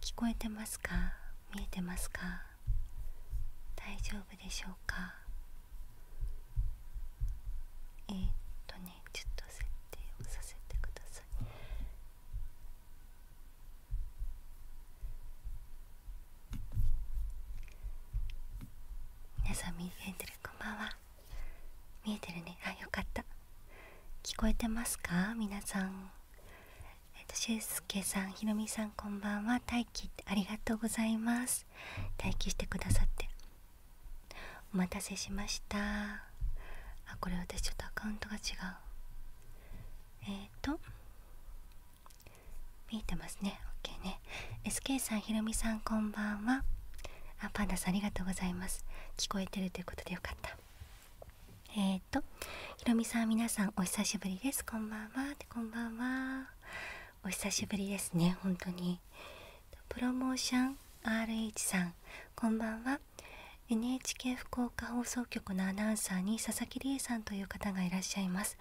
聞こえてますか見えてますか大丈夫でしょうかえっとねちょっと設定をさせてくださいみなさん見えてるこんばんは見えてるねあよかった聞こえてますかみなさんえっと、しゅうすけさん、ひろみさん、こんばんは。待機ありがとうございます。待機してくださって。お待たせしました。あ、これ私ちょっとアカウントが違う。えっ、と、見えてますね。OK ね。SK さん、ひろみさん、こんばんは。あ、パンダさん、ありがとうございます。聞こえてるということでよかった。えっ、とひろみさん皆さんお久しぶりですこんばんはってこんばんはお久しぶりですね本当にプロモーション RH さんこんばんは NHK 福岡放送局のアナウンサーに佐々木理恵さんという方がいらっしゃいます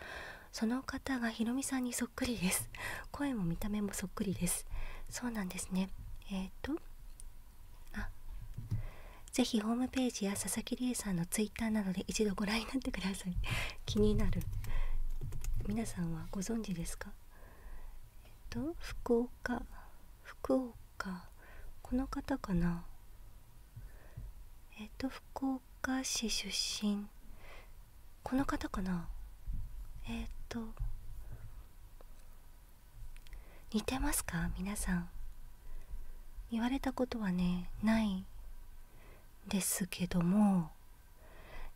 その方がひろみさんにそっくりです声も見た目もそっくりですそうなんですねえっ、とぜひホームページや佐々木理恵さんのツイッターなどで一度ご覧になってください 気になる皆さんはご存知ですかえっと福岡福岡この方かなえっと福岡市出身この方かなえっと似てますか皆さん言われたことはねないんですけども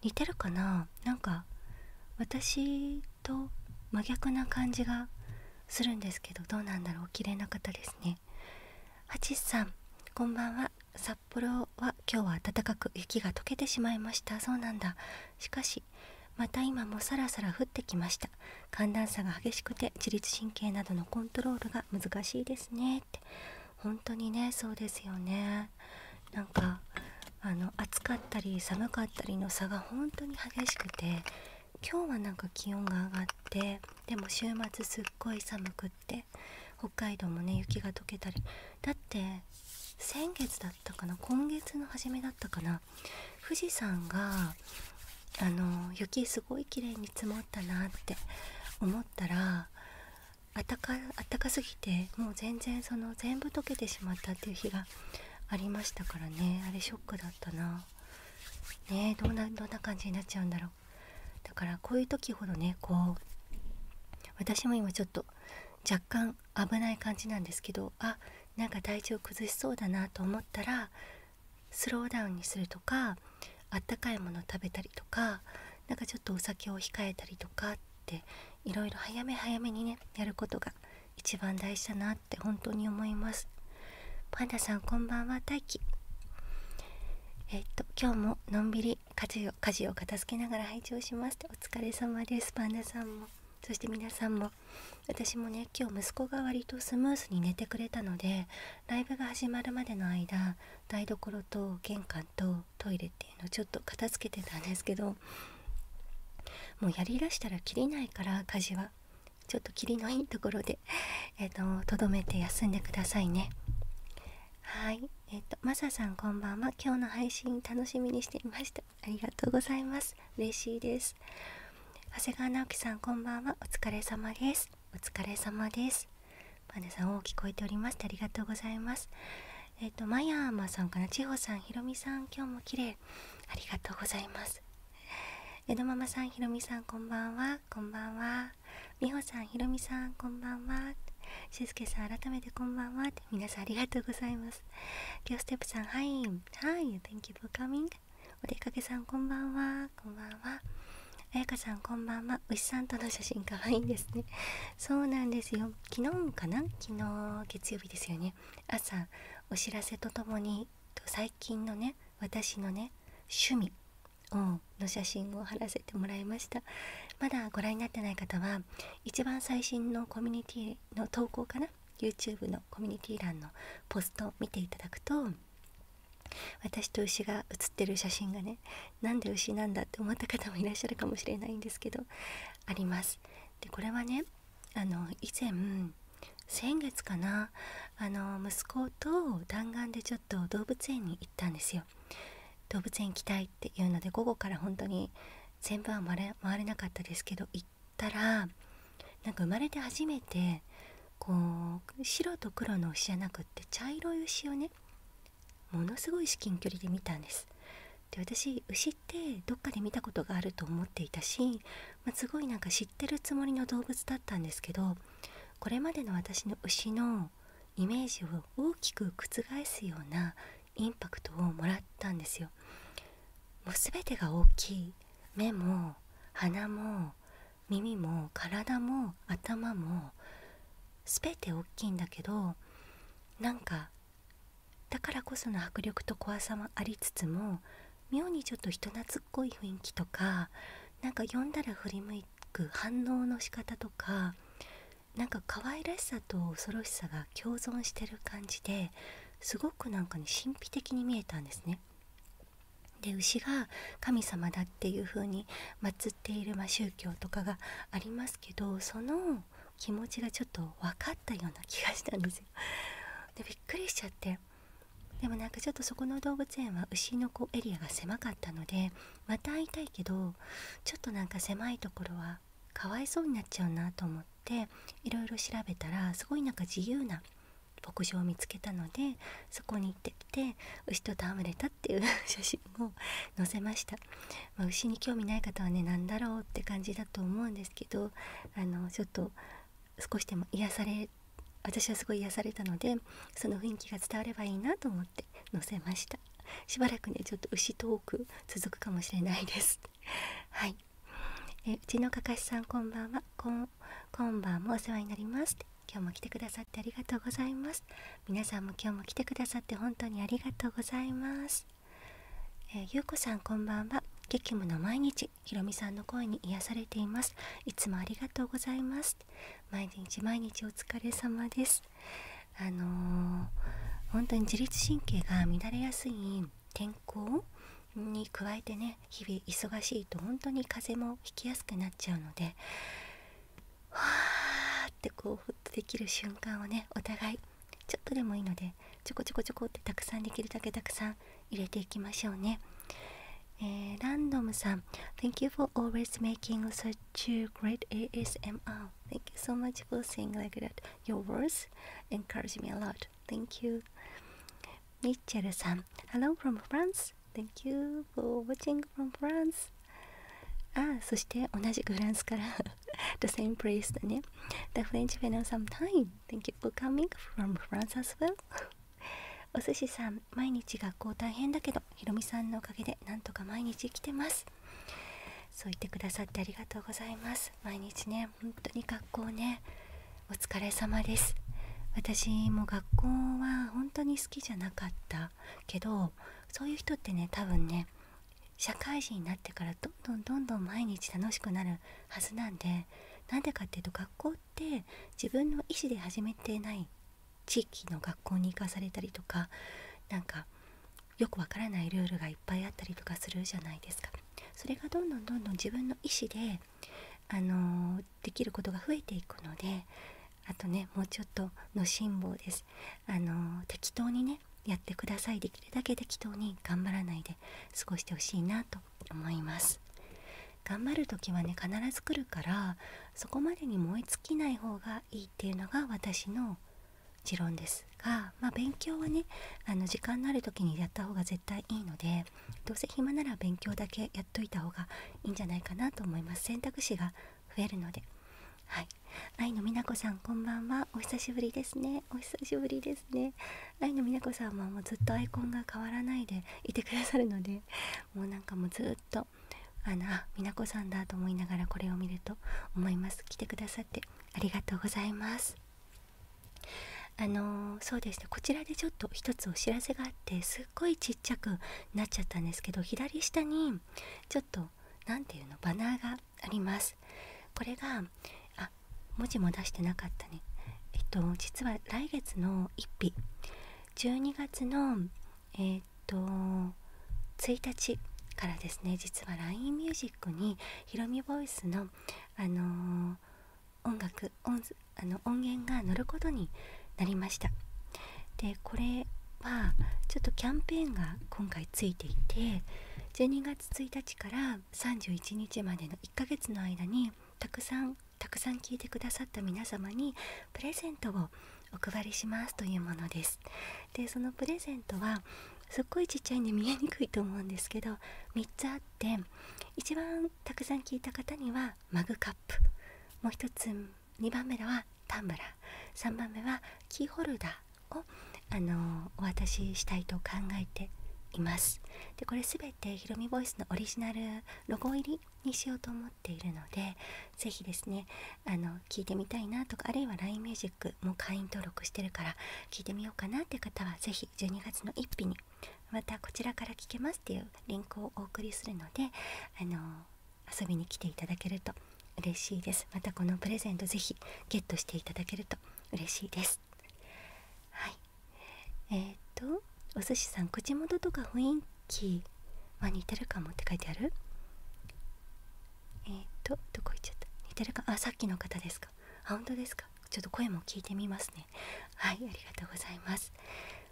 似てるかななんか私と真逆な感じがするんですけどどうなんだろう綺麗な方ですねハチさんこんばんは札幌は今日は暖かく雪が溶けてしまいましたそうなんだしかしまた今もさらさら降ってきました寒暖差が激しくて自律神経などのコントロールが難しいですねって本当にねそうですよねなんかあの暑かったり寒かったりの差が本当に激しくて今日はなんか気温が上がってでも週末すっごい寒くって北海道もね雪が解けたりだって先月だったかな今月の初めだったかな富士山があの雪すごい綺麗に積もったなって思ったらあかったかすぎてもう全然その全部溶けてしまったっていう日がありましたからねあれショックだったなねえどんなどんな感じになっちゃうんだろうだからこういう時ほどねこう私も今ちょっと若干危ない感じなんですけどあなんか体調崩しそうだなと思ったらスローダウンにするとかあったかいもの食べたりとか何かちょっとお酒を控えたりとかっていろいろ早め早めにねやることが一番大事だなって本当に思いますパンダさんこんばんは大輝えっと今日ものんびり家事を片付けながら拝聴しますお疲れ様ですパンダさんもそして皆さんも私もね今日息子が割とスムーズに寝てくれたのでライブが始まるまでの間台所と玄関とトイレっていうのをちょっと片付けてたんですけどもうやりだしたら切りないから家事はちょっと切りのいいところで えっ、ととどめて休んでくださいねはいえっ、とマサさんこんばんは今日の配信楽しみにしていましたありがとうございます嬉しいです長谷川直樹さんこんばんはお疲れ様ですお疲れ様ですパンダさんお聞こえておりましてありがとうございますえっ、とマヤーマさんかなちほさんひろみさん今日も綺麗ありがとうございます江戸ママさんひろみさんこんばんはこんばんはみほさんひろみさんこんばんはしすけさん改めてこんばんは皆さんありがとうございますきょステップさんはいはい Thank you for coming お出かけさんこんばんはこんばんはあやかさんこんばんは牛さんとの写真かわいいんですねそうなんですよ昨日かな昨日月曜日ですよね朝お知らせとともに最近のね私のね趣味の写真を貼らせてもらいましたまだご覧になってない方は一番最新のコミュニティの投稿かな YouTube のコミュニティ欄のポストを見ていただくと私と牛が写ってる写真がねなんで牛なんだって思った方もいらっしゃるかもしれないんですけどありますでこれはねあの以前先月かなあの息子と弾丸でちょっと動物園に行ったんですよ動物園行きたいっていうので午後から本当に全部は回れなかったですけど行ったらなんか生まれて初めてこう白と黒の牛じゃなくって茶色い牛をねものすごい至近距離で見たんですで私牛ってどっかで見たことがあると思っていたし、ますごいなんか知ってるつもりの動物だったんですけどこれまでの私の牛のイメージを大きく覆すようなインパクトをもらったんですよもう全てが大きい目も鼻も耳も体も頭も全て大きいんだけどなんかだからこその迫力と怖さもありつつも妙にちょっと人懐っこい雰囲気とかなんか呼んだら振り向く反応の仕方とかなんか可愛らしさと恐ろしさが共存してる感じですごくなんかね神秘的に見えたんですね。で牛が神様だっていう風に祀っている、ま宗教とかがありますけどその気持ちがちょっと分かったような気がしたんですよ。でびっくりしちゃってでもなんかちょっとそこの動物園は牛のこエリアが狭かったのでまた会いたいけどちょっとなんか狭いところはかわいそうになっちゃうなと思っていろいろ調べたらすごいなんか自由な牧場を見つけたのでそこに行ってきて牛と戯れたっていう 写真を載せました、ま牛に興味ない方はね何だろうって感じだと思うんですけどあのちょっと少しでも癒され私はすごい癒されたのでその雰囲気が伝わればいいなと思って載せましたしばらくねちょっと牛トーク続くかもしれないですはいえうちのかかしさんこんばんはん今晩もお世話になります今日も来てくださってありがとうございます皆さんも今日も来てくださって本当にありがとうございます、えゆうこさんこんばんは激務の毎日ひろみさんの声に癒されていますいつもありがとうございます毎日毎日お疲れ様ですあの本当に自律神経が乱れやすい天候に加えてねね日々忙しいと本当に風邪もひきやすくなっちゃうのでわーってこうほっとできる瞬間をねお互いちょっとでもいいのでちょこちょこちょこってたくさんできるだけたくさん入れていきましょうね。えー、ランドムさん、Thank you for always making such a great ASMR. Thank you so much for saying like that. Your words encourage me a lot. Thank you. ミッチェルさん、Hello from France.。Thank you for watching from France. ああ、そして同じくフランスから The same place だね。The French f e n o sometime. Thank you for coming from France as well. お寿司さん、毎日学校大変だけど、ひろみさんのおかげでなんとか毎日来てます。そう言ってくださってありがとうございます。毎日ね、本当に学校ね、お疲れ様です私も学校は本当に好きじゃなかったけどそういう人ってね多分ね社会人になってからどんどんどんどん毎日楽しくなるはずなんでなんでかっていうと学校って自分の意思で始めてない地域の学校に行かされたりとかなんかよくわからないルールがいっぱいあったりとかするじゃないですかそれがどんどんどんどん自分の意思であのできることが増えていくのであとねもうちょっとの辛抱ですあの適当にねやってくださいできるだけ適当に頑張らないで過ごしてほしいなと思います頑張る時はね必ず来るからそこまでに燃え尽きない方がいいっていうのが私の持論ですが、ま勉強はねあの時間のある時にやった方が絶対いいのでどうせ暇なら勉強だけやっといた方がいいんじゃないかなと思います選択肢が増えるのではい愛の美奈子さんこんばんはお久しぶりですねお久しぶりですね愛の美奈子さんはもうずっとアイコンが変わらないでいてくださるのでもうなんかもうずっとあの美奈子さんだと思いながらこれを見ると思います来てくださってありがとうございますあのそうですね。こちらでちょっと一つお知らせがあってすっごいちっちゃくなっちゃったんですけど左下にちょっと何て言うのバナーがありますこれがあ文字も出してなかったねえっと実は来月の1日12月のえっと1日からですね実は LINE music にひろみボイスのあのー、音楽音であの音源が載ることになりましたでこれはちょっとキャンペーンが今回ついていて12月1日から31日までの1ヶ月の間にたくさんたくさん聞いてくださった皆様にプレゼントをお配りしますというものですでそのプレゼントはすっごいちっちゃいんで見えにくいと思うんですけど3つあって一番たくさん聞いた方にはマグカップもう一つ2番目はタンブラー3番目はキーホルダーをあのお渡ししたいと考えていますでこれ全てひろみボイスのオリジナルロゴ入りにしようと思っているので是非ですねあの聞いてみたいなとかあるいは LINE ミュージックも会員登録してるから聞いてみようかなって方は是非12月の1日にまたこちらから聞けますっていうリンクをお送りするのであの遊びに来ていただけると嬉しいですまたこのプレゼントぜひゲットしていただけると嬉しいですはいえー、とお寿司さん口元とか雰囲気は似てるかもって書いてあるえっとどこ行っちゃった似てるかあさっきの方ですか本当ですかちょっと声も聞いてみますねはいありがとうございます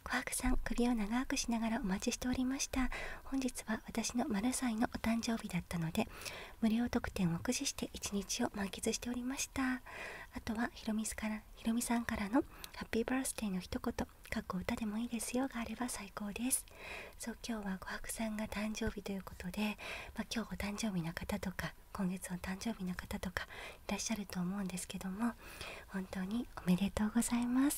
琥珀さん首を長くしながらお待ちしておりました本日は私の丸歳のお誕生日だったので無料特典を駆使して一日を満喫しておりましたあとはひろみからひろみさんからのハッピーバースデーの一言過去歌でもいいですよがあれば最高ですそう今日は琥珀さんが誕生日ということで、ま今日お誕生日の方とか今月お誕生日の方とかいらっしゃると思うんですけども本当におめでとうございます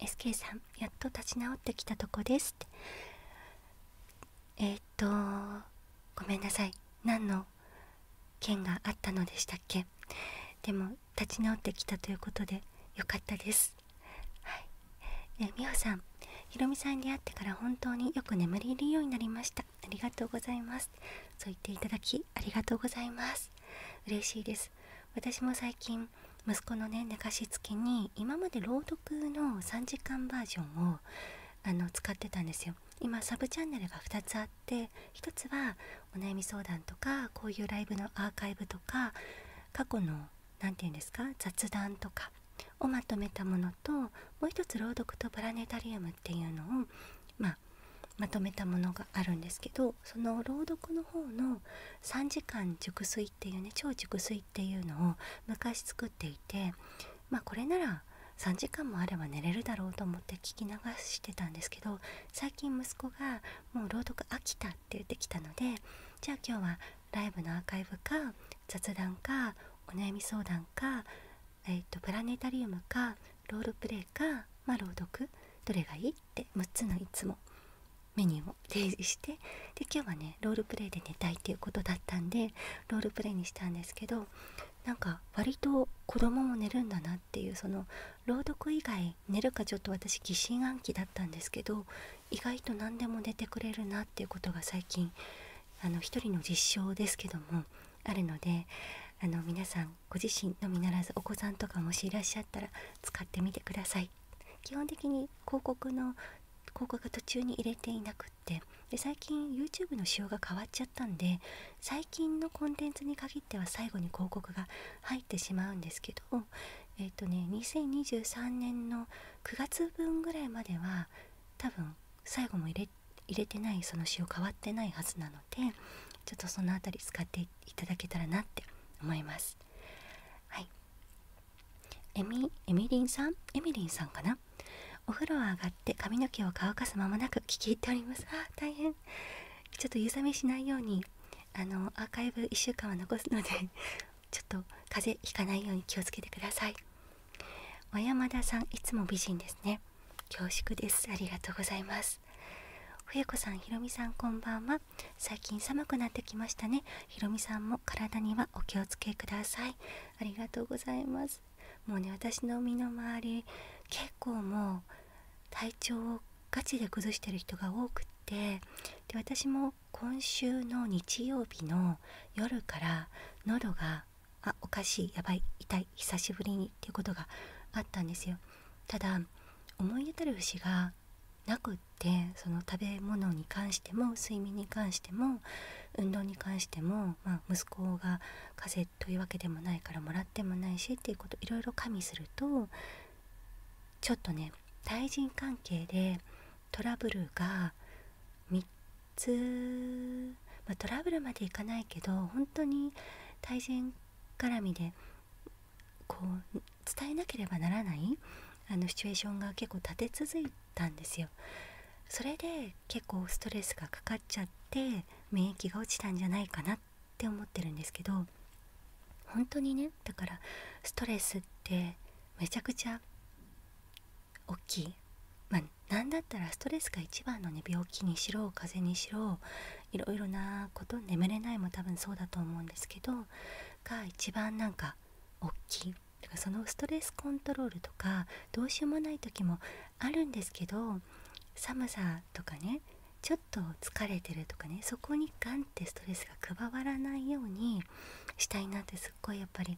SK さんやっと立ち直ってきたとこですってえっとごめんなさい何の件があったのでしたっけでも立ち直ってきたということでよかったですはいえ美穂さんひろみさんに会ってから本当によく眠れるようになりましたありがとうございますそう言っていただきありがとうございます嬉しいです私も最近息子のね寝かしつけに今まで朗読の3時間バージョンをあの使ってたんですよ今サブチャンネルが2つあって1つはお悩み相談とかこういうライブのアーカイブとか過去の何て言うんですか雑談とかをまとめたものともう1つ朗読とプラネタリウムっていうのを、ままとめたものがあるんですけどその朗読の方の3時間熟睡っていうね超熟睡っていうのを昔作っていてまあこれなら3時間もあれば寝れるだろうと思って聞き流してたんですけど最近息子がもう朗読飽きたって言ってきたのでじゃあ今日はライブのアーカイブか雑談かお悩み相談か、えーと、プラネタリウムかロールプレイか、ま朗読どれがいいい6つのいつもメニューを提示してで今日はねロールプレイで寝たいっていうことだったんでロールプレイにしたんですけどなんか割と子供も寝るんだなっていうその朗読以外寝るかちょっと私疑心暗鬼だったんですけど意外と何でも寝てくれるなっていうことが最近あの一人の実証ですけどもあるのであの皆さんご自身のみならずお子さんとかもしいらっしゃったら使ってみてください。基本的に広告の広告が途中に入れていなくってで最近 YouTube の仕様が変わっちゃったんで最近のコンテンツに限っては最後に広告が入ってしまうんですけどえっ、とね2023年の9月分ぐらいまでは多分最後も入れ入れてないその仕様変わってないはずなのでちょっとその辺り使っていただけたらなって思います。はいエミエミリンさんエミリンさんかなお風呂は上がって髪の毛を乾かす間もなく聞き入っておりますあ大変ちょっと湯冷めしないようにあのアーカイブ1週間は残すのでちょっと風邪ひかないように気をつけてください和山田さんいつも美人ですね恐縮ですありがとうございます冬子さんひろみさんこんばんは最近寒くなってきましたねひろみさんも体にはお気をつけくださいありがとうございますもうね私の身の回り結構もう体調をガチで崩してる人が多くてで私も今週の日曜日の夜から喉があおかしいやばい痛い久しぶりにっていうことがあったんですよただ思い当たる節がっその食べ物に関しても睡眠に関しても運動に関しても、ま息子が風邪というわけでもないからもらってもないしっていうこといろいろ加味するとちょっとね対人関係でトラブルが3つ、まトラブルまでいかないけど本当に対人絡みでこう伝えなければならないあのシチュエーションが結構立て続いたんですよ。それで結構ストレスがかかっちゃって免疫が落ちたんじゃないかなって思ってるんですけど本当にねだからストレスってめちゃくちゃ大きい。まあ、なだったらストレスが一番のね病気にしろ風邪にしろいろいろなこと眠れないも多分そうだと思うんですけどが一番なんか大きいだかそのストレスコントロールとかどうしようもない時もあるんですけど寒さとかねちょっと疲れてるとかねそこにガンってストレスが加わらないようにしたいなってすっごいやっぱり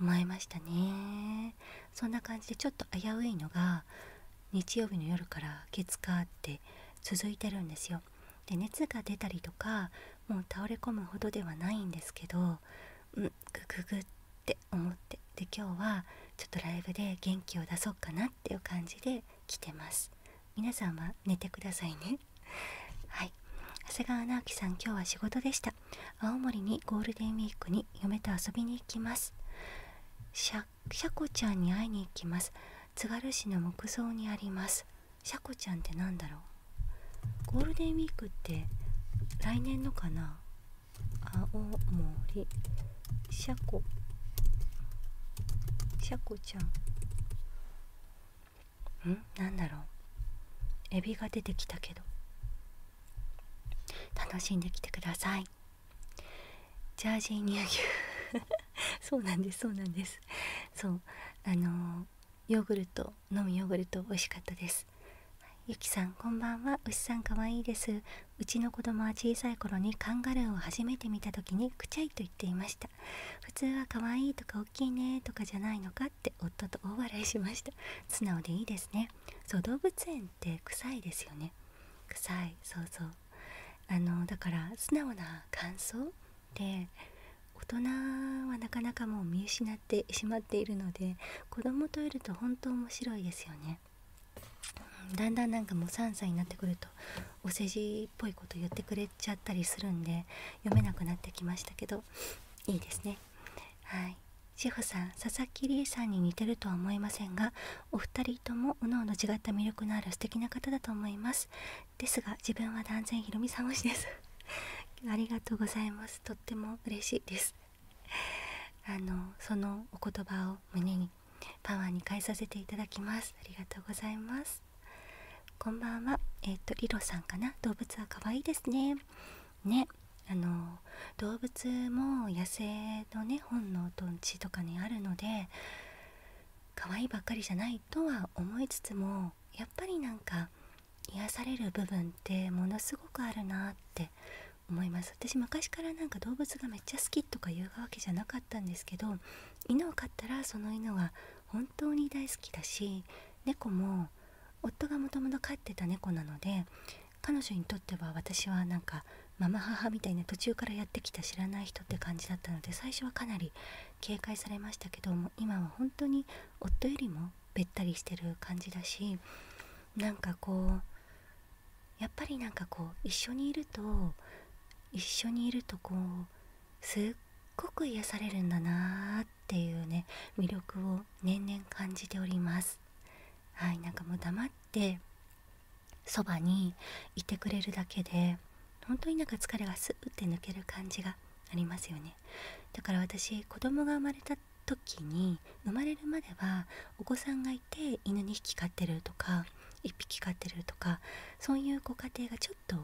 思いましたねそんな感じでちょっと危ういのが日曜日の夜から月火って続いてるんですよで熱が出たりとかもう倒れ込むほどではないんですけどうんグググって思ってで今日はちょっとライブで元気を出そうかなっていう感じで来てます皆さんは寝てくださいね はい長谷川直樹さん今日は仕事でした青森にゴールデンウィークに嫁と遊びに行きますシャコちゃんに会いに行きます津軽市の木造にありますシャコちゃんってなんだろうゴールデンウィークって来年のかな青森シャコシャコちゃんんなんだろうエビが出てきたけど楽しんできてくださいジャージー乳牛 そうなんですそうなんですそうあのヨーグルト飲むヨーグルト美味しかったですゆきさんこんばんは牛さんかわいいですうちの子供は小さい頃にカンガルーを初めて見た時にくちゃいと言っていました普通はかわいいとかおっきいねとかじゃないのかって夫と大笑いしました素直でいいですねそう動物園って臭いですよね臭いそうそうあのだから素直な感想っ大人はなかなかもう見失ってしまっているので子供といると本当面白いですよね。だんだんなんかもう3歳になってくるとお世辞っぽいこと言ってくれちゃったりするんで読めなくなってきましたけどいいですねはい志保さん佐々木理恵さんに似てるとは思いませんがお二人ともおのおの違った魅力のある素敵な方だと思いますですが自分は断然ひろみさん推しです ありがとうございますとっても嬉しいです あのそのお言葉を胸にパワーに変えさせていただきますありがとうございますこんばんはえっ、とリロさんかな動物は可愛いですねねあの動物も野生のね本能と地とかにあるので可愛いばっかりじゃないとは思いつつもやっぱりなんか癒される部分ってものすごくあるなって思います私昔からなんか動物がめっちゃ好きとか言うわけじゃなかったんですけど犬を飼ったらその犬は本当に大好きだし猫も夫がもともと飼ってた猫なので彼女にとっては私はなんかママ母みたいな途中からやってきた知らない人って感じだったので最初はかなり警戒されましたけども今は本当に夫よりもべったりしてる感じだしなんかこうやっぱりなんかこう一緒にいると一緒にいるとこうすっごく癒されるんだなーっていうね魅力を年々感じておりますはいなんかもう黙ってそばにいてくれるだけで本当に何か疲れがスーって抜ける感じがありますよねだから私子供が生まれた時に生まれるまではお子さんがいて犬2匹飼ってるとか1匹飼ってるとかそういうご家庭がちょっと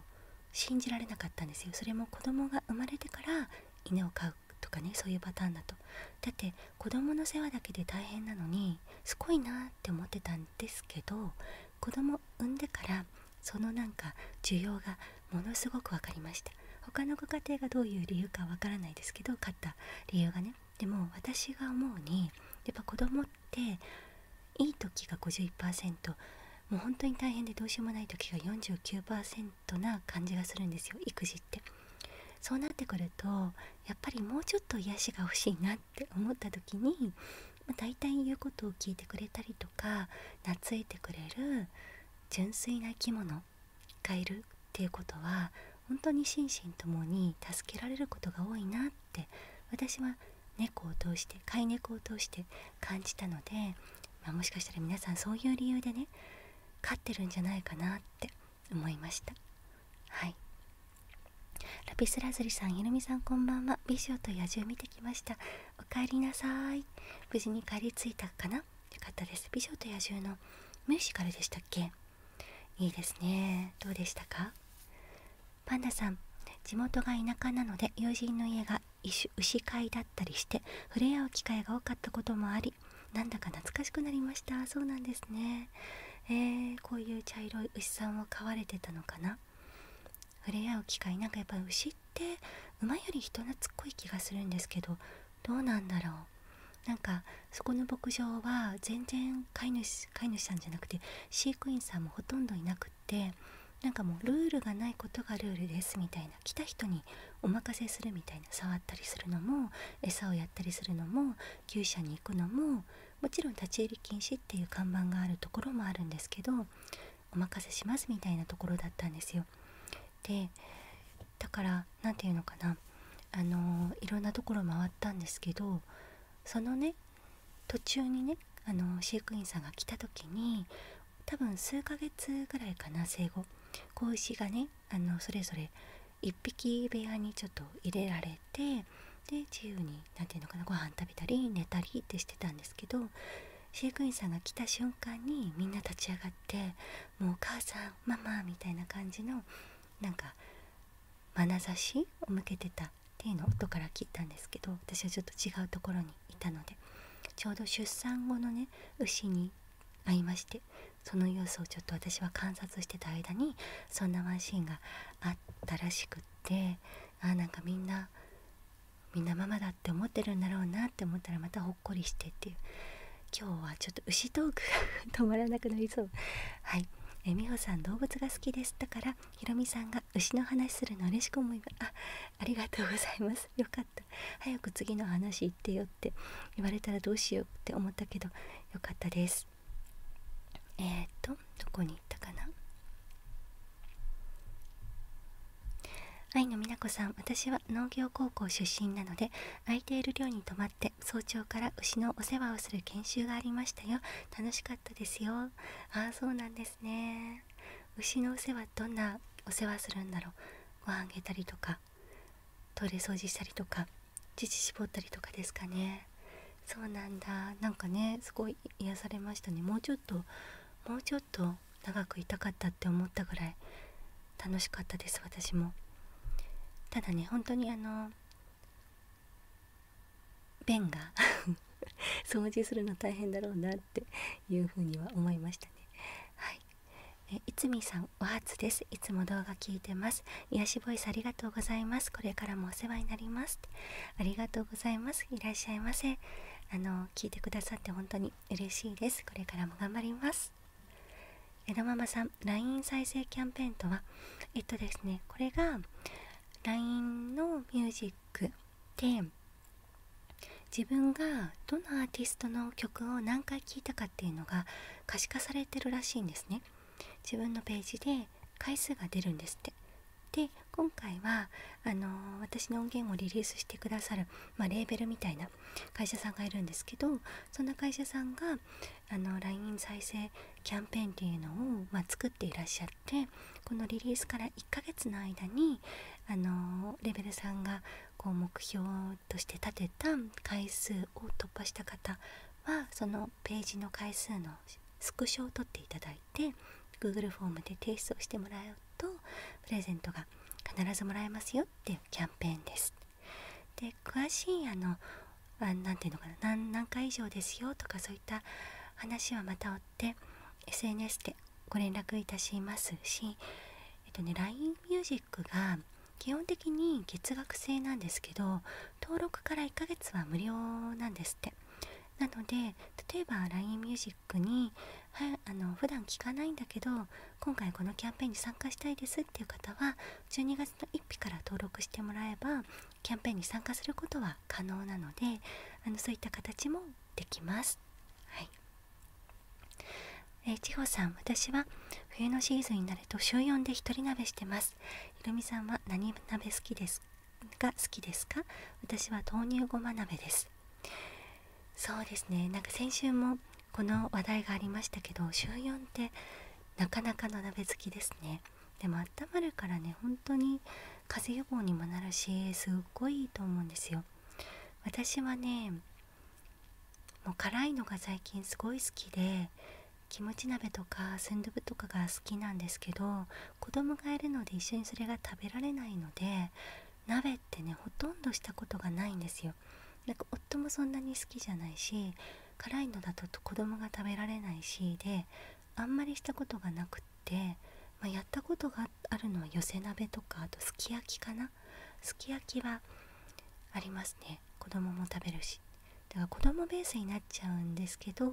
信じられなかったんですよそれも子供が生まれてから犬を飼うとかねそういうパターンだとだって子供の世話だけで大変なのにすごいなって思ってたんですけど子供産んでからそのなんか需要がものすごく分かりました他のご家庭がどういう理由かわからないですけど買った理由がねでも私が思うにやっぱ子供っていい時が51%もう本当に大変でどうしようもない時が49%な感じがするんですよ育児ってそうなってくるとやっぱりもうちょっと癒しが欲しいなって思った時にまあ、大体言うことを聞いてくれたりとか懐いてくれる純粋な生き物がいるっていうことは本当に心身ともに助けられることが多いなって私は猫を通して飼い猫を通して感じたので、まもしかしたら皆さんそういう理由でね飼ってるんじゃないかなって思いましたはいラピスラズリさんひろみさんこんばんは美女と野獣見てきましたおかえりなさい無事に帰り着いたかなよかったです美女と野獣のミュージカルでしたっけいいですねどうでしたかパンダさん地元が田舎なので友人の家が牛飼いだったりして触れ合う機会が多かったこともありなんだか懐かしくなりましたそうなんですねえー、こういう茶色い牛さんを飼われてたのかな触れ合う機会なんかやっぱ牛って馬より人懐っこい気がするんですけどどうなんだろうなんかそこの牧場は全然飼い主飼い主さんじゃなくて飼育員さんもほとんどいなくってなんかもうルールがないことがルールですみたいな来た人にお任せするみたいな触ったりするのも餌をやったりするのも厩舎に行くのももちろん立ち入り禁止っていう看板があるところもあるんですけどお任せしますみたいなところだったんですよ。でだから何て言うのかなあのいろんなところ回ったんですけどそのね途中にねあの飼育員さんが来た時に多分数ヶ月ぐらいかな生後子牛がねあのそれぞれ1匹部屋にちょっと入れられてで自由に何て言うのかなご飯食べたり寝たりってしてたんですけど飼育員さんが来た瞬間にみんな立ち上がってもうお母さんママみたいな感じのなんか眼差しを向けてたっていうのを音から切ったんですけど私はちょっと違うところにいたのでちょうど出産後のね牛に会いましてその様子をちょっと私は観察してた間にそんなワンシーンがあったらしくってあなんかみんなみんなママだって思ってるんだろうなって思ったらまたほっこりしてっていう今日はちょっと牛トークが止まらなくなりそうはいえみほさん動物が好きですだからひろみさんが牛の話するの嬉しく思いますあありがとうございます よかった早く次の話行ってよって言われたらどうしようって思ったけどよかったですえっ、とどこに行ったかな愛の美奈子さん私は農業高校出身なので空いている寮に泊まって早朝から牛のお世話をする研修がありましたよ楽しかったですよああそうなんですね牛のお世話どんなお世話するんだろうご飯あげたりとかトイレ掃除したりとか乳搾ったりとかですかねそうなんだなんかねすごい癒されましたねもうちょっともうちょっと長くいたかったって思ったぐらい楽しかったです私もただね本当にあの便が 掃除するの大変だろうなっていうふうには思いましたねはいえいつみさんお初ですいつも動画聞いてます癒しボイスありがとうございますこれからもお世話になりますありがとうございますいらっしゃいませあの聞いてくださって本当に嬉しいですこれからも頑張りますえママさん LINE 再生キャンペーンとはえっとですねこれが LINE のミュージックで自分がどのアーティストの曲を何回聴いたかっていうのが可視化されてるらしいんですね自分のページで回数が出るんですってで今回はあの私の音源をリリースしてくださる、まあ、レーベルみたいな会社さんがいるんですけどそんな会社さんがあの LINE 再生キャンペーンっていうのを、まあ、作っていらっしゃってこのリリースから1ヶ月の間にあのレベルさんがこう目標として立てた回数を突破した方はそのページの回数のスクショを取っていただいて Google フォームで提出をしてもらう。うとプレゼントが必ずもらえますよっていうキャンペーンですで詳しいあの何ていうのかな何回以上ですよとかそういった話はまた追って SNS でご連絡いたしますし、えっとね、LINE music が基本的に月額制なんですけど登録から1ヶ月は無料なんですってなので例えば LINE ミュージックにはあの普段聞かないんだけど今回このキャンペーンに参加したいですっていう方は12月の1日から登録してもらえばキャンペーンに参加することは可能なのであのそういった形もできます。はいえ千穂さん、私は冬のシーズンになると週4で1人鍋してます。ひろみさんは何鍋好きですが好きですか私は豆乳ごま鍋です。そうですねなんか先週もこの話題がありましたけど週4ってなかなかの鍋好きですねでもあったまるからね本当に風邪予防にもなるしすっごいいいと思うんですよ私はねもう辛いのが最近すごい好きでキムチ鍋とかスンドゥブとかが好きなんですけど子供がいるので一緒にそれが食べられないので鍋ってねほとんどしたことがないんですよなんか夫もそんなに好きじゃないし辛いのだと子供が食べられないしであんまりしたことがなくって、まやったことがあるのは寄せ鍋とかあとすき焼きかなすき焼きはありますね子供も食べるしだから子供ベースになっちゃうんですけど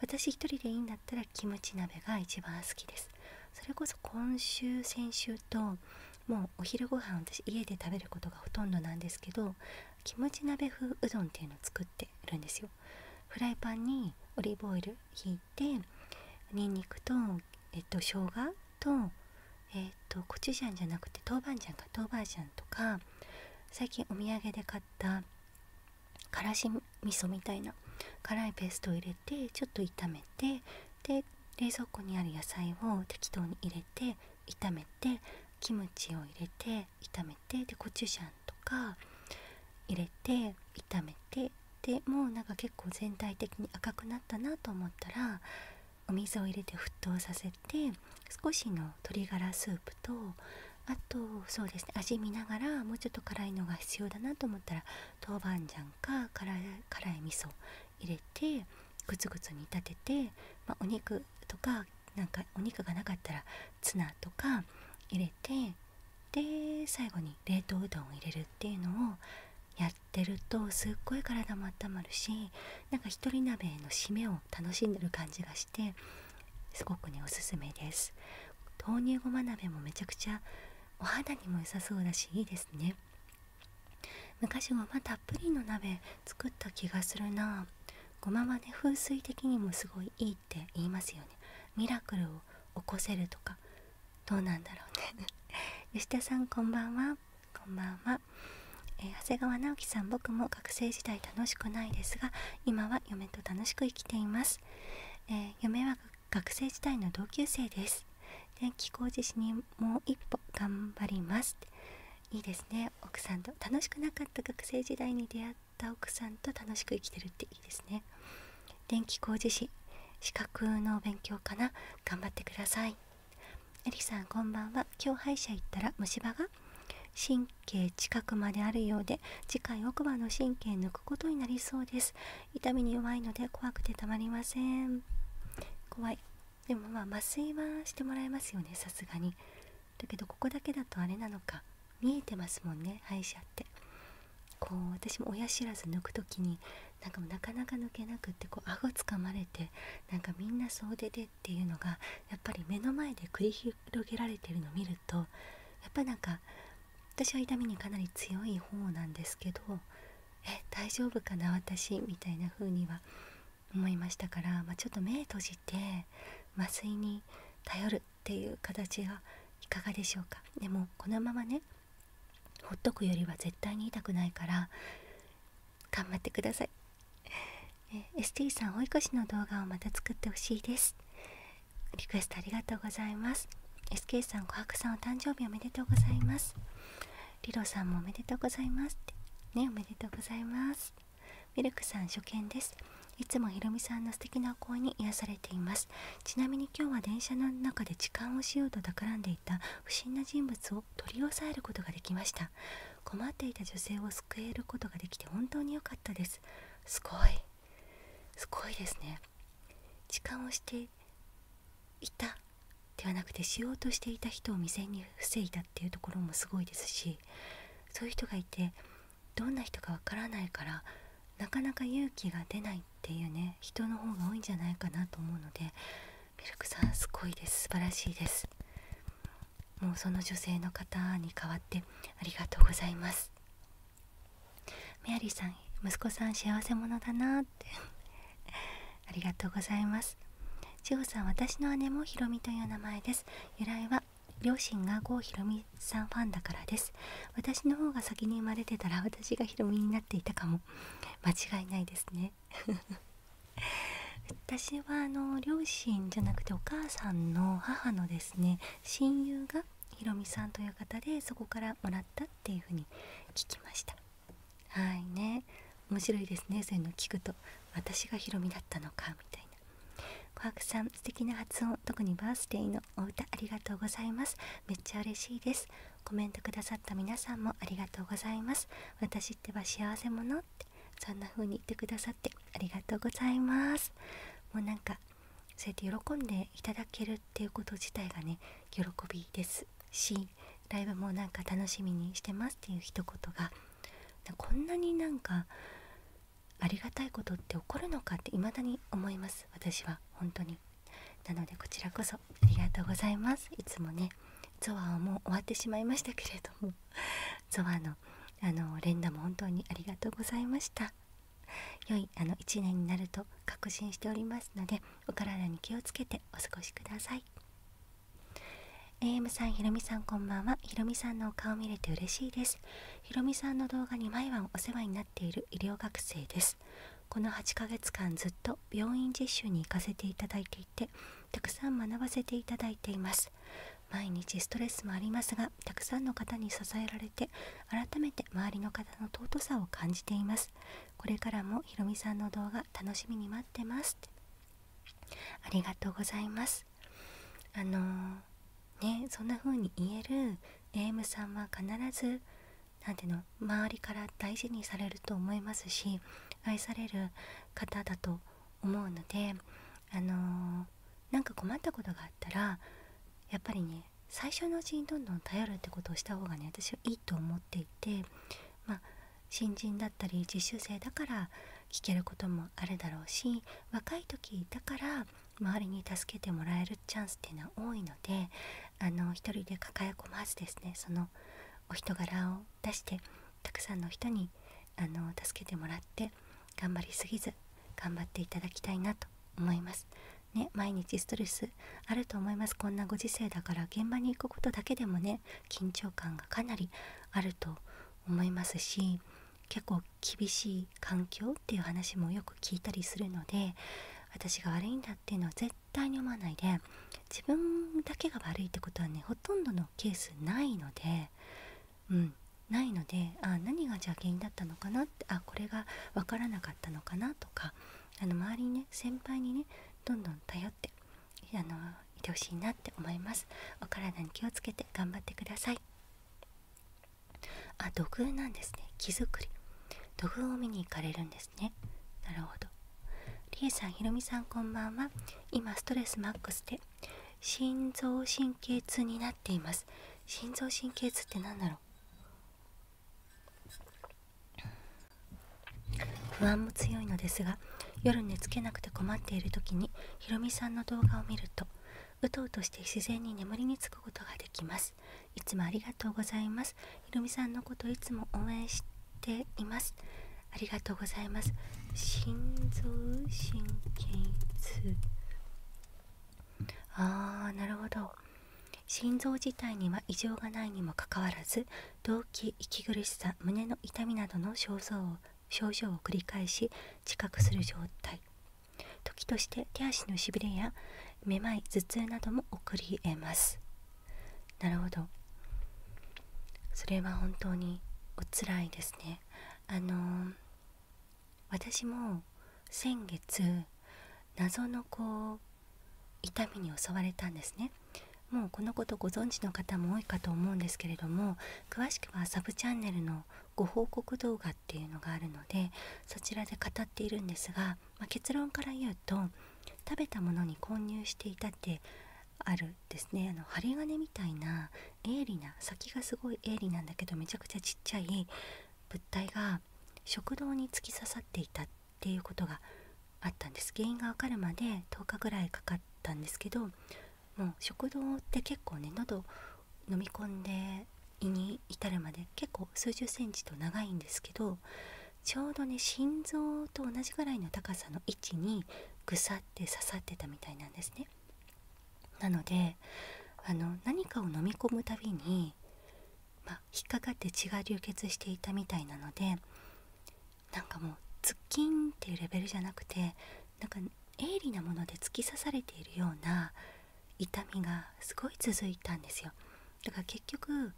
私一人でいいんだったらキムチ鍋が一番好きですそれこそ今週先週ともうお昼ご飯私家で食べることがほとんどなんですけどキムチ鍋風うどんっていうのを作ってるんですよフライパンにオリーブオイルひいてにんにくとえっと生姜とえっとコチュジャンじゃなくて豆板醤か豆板醤とか最近お土産で買ったからし味噌みたいな辛いペーストを入れてちょっと炒めてで冷蔵庫にある野菜を適当に入れて炒めてキムチを入れて炒めてでコチュジャンとか入れて炒めてでもうなんか結構全体的に赤くなったなと思ったらお水を入れて沸騰させて少しの鶏ガラスープとあとそうですね味見ながらもうちょっと辛いのが必要だなと思ったら豆板醤か辛い辛い味噌入れてグツグツ煮立てて、まお肉とかなんかお肉がなかったらツナとか入れてで最後に冷凍うどんを入れるっていうのをやってるとすっごい体も温まるしなんか一人鍋の締めを楽しんでる感じがしてすごくねおすすめです豆乳ごま鍋もめちゃくちゃお肌にも良さそうだしいいですね昔ごまたっぷりの鍋作った気がするなごまはね風水的にもすごいいいって言いますよねミラクルを起こせるとかどうなんだろうね 吉田さんこんばんはこんばんは、え長谷川直樹さん僕も学生時代楽しくないですが今は嫁と楽しく生きています、え夢学生時代の同級生です電気工事士にもう一歩頑張りますいいですね奥さんと楽しくなかった学生時代に出会った奥さんと楽しく生きてるっていいですね電気工事士資格の勉強かな頑張ってくださいエリさんこんばんは今日者行ったら虫歯が神経近くまであるようで次回奥歯の神経抜くことになりそうです痛みに弱いので怖くてたまりません怖いでもまあ麻酔はしてもらえますよねさすがにだけどここだけだとあれなのか見えてますもんね歯医者ってこう私も親知らず抜く時になんかもなかなか抜けなくってこう顎つかまれてなんかみんな総出でっていうのがやっぱり目の前で繰り広げられてるのを見るとやっぱなんか私は痛みにかなり強い方なんですけど「え大丈夫かな私」みたいな風には思いましたから、まちょっと目閉じて麻酔に頼るっていう形がいかがでしょうかでもこのままねほっとくよりは絶対に痛くないから頑張ってくださいえ ST さんおい越しの動画をまた作ってほしいですリクエストありがとうございます SK さん琥珀さんお誕生日おめでとうございますリロさんもおめでとうございますってねおめでとうございますミルクさん初見ですいつもひろみさんの素敵なお声に癒されていますちなみに今日は電車の中で痴漢をしようと企んでいた不審な人物を取り押さえることができました困っていた女性を救えることができて本当に良かったですすごいすごいですね痴漢をしていたではなくてしようとしていた人を未然に防いだっていうところもすごいですしそういう人がいてどんな人かわからないからなかなか勇気が出ないっていうね人の方が多いんじゃないかなと思うのでミルクさんすごいです素晴らしいですもうその女性の方に代わってありがとうございますメアリーさん息子さん幸せ者だなってありがとうございます千穂さん私の姉もひろみという名前です由来は両親が郷ひろみさんファンだからです私の方が先に生まれてたら私がひろみになっていたかも間違いないですね 私はあの両親じゃなくてお母さんの母のですね親友がひろみさんという方でそこからもらったっていうふうに聞きましたはいね面白いですねそういうの聞くと私がヒロミだったのかみたいな琥珀さん素敵な発音特にバースデーのお歌ありがとうございますめっちゃ嬉しいですコメントくださった皆さんもありがとうございます私ってば幸せ者ってそんな風に言ってくださってありがとうございますもうなんかそうやって喜んでいただけるっていうこと自体がね喜びですしライブもなんか楽しみにしてますっていう一言がこんなになんかありがたいことって起こるのかって未だに思います私は本当になのでこちらこそありがとうございますいつもねゾワはもう終わってしまいましたけれどもゾアのあの連打も本当にありがとうございました良いあの1年になると確信しておりますのでお体に気をつけてお過ごしください AM さんひろみさんこんばんはひろみさんのお顔を見れて嬉しいですひろみさんの動画に毎晩お世話になっている医療学生ですこの8ヶ月間ずっと病院実習に行かせていただいていてたくさん学ばせていただいています毎日ストレスもありますがたくさんの方に支えられて改めて周りの方の尊さを感じていますこれからもひろみさんの動画楽しみに待ってますありがとうございますあのー、ねそんな風に言える AM さんは必ず何ていうの周りから大事にされると思いますし愛される方だと思うのであのー、なんか困ったことがあったらやっぱりね最初のうちにどんどん頼るってことをした方がね私はいいと思っていてまあ新人だったり実習生だから聞けることもあるだろうし若い時だから周りに助けてもらえるチャンスっていうのは多いのであの一人で抱え込まずですねそのお人柄を出してたくさんの人にあの助けてもらって頑張りすぎず頑張っていただきたいなと思います。ね、毎日ストレスあると思いますこんなご時世だから現場に行くことだけでもね緊張感がかなりあると思いますし結構厳しい環境っていう話もよく聞いたりするので私が悪いんだっていうのは絶対に思わないで自分だけが悪いってことはねほとんどのケースないのでうんないのでああ、何がじゃあ原因だったのかなってあこれが分からなかったのかなとかあの周りにね先輩にねどんどん頼ってあのいてほしいなって思いますお体に気をつけて頑張ってくださいあ土偶なんですね木作り土偶を見に行かれるんですねなるほどりえさんひろみさんこんばんは今ストレスマックで心臓神経痛になっています心臓神経痛って何だろう不安も強いのですが夜寝つけなくて困っている時にひろみさんの動画を見るとうとうとして自然に眠りにつくことができますいつもありがとうございますひろみさんのこといつも応援していますありがとうございます心臓神経痛あーなるほど心臓自体には異常がないにもかかわらず動悸息苦しさ胸の痛みなどの症状を症状を繰り返し知覚する状態時として手足のしびれやめまい頭痛なども起こり得ますなるほどそれは本当におつらいですねあの私も先月謎のこう痛みに襲われたんですねもうこのことご存知の方も多いかと思うんですけれども詳しくはサブチャンネルのご報告動画っていうのがあるのでそちらで語っているんですが、ま結論から言うと食べたものに混入していたってあるですねあの針金みたいな鋭利な先がすごい鋭利なんだけどめちゃくちゃちっちゃい物体が食道に突き刺さっていたっていうことがあったんです原因が分かるまで10日ぐらいかかったんですけどもう食道って結構ね喉飲み込んで胃に至るまで結構数十センチと長いんですけどちょうどね心臓と同じぐらいの高さの位置にぐさって刺さってたみたいなんですね。なのであの何かを飲み込むたびに、ま引っかかって血が流血していたみたいなのでなんかもうズッキンっていうレベルじゃなくてなんか鋭利なもので突き刺されているような痛みがすごい続いたんですよだから結局もう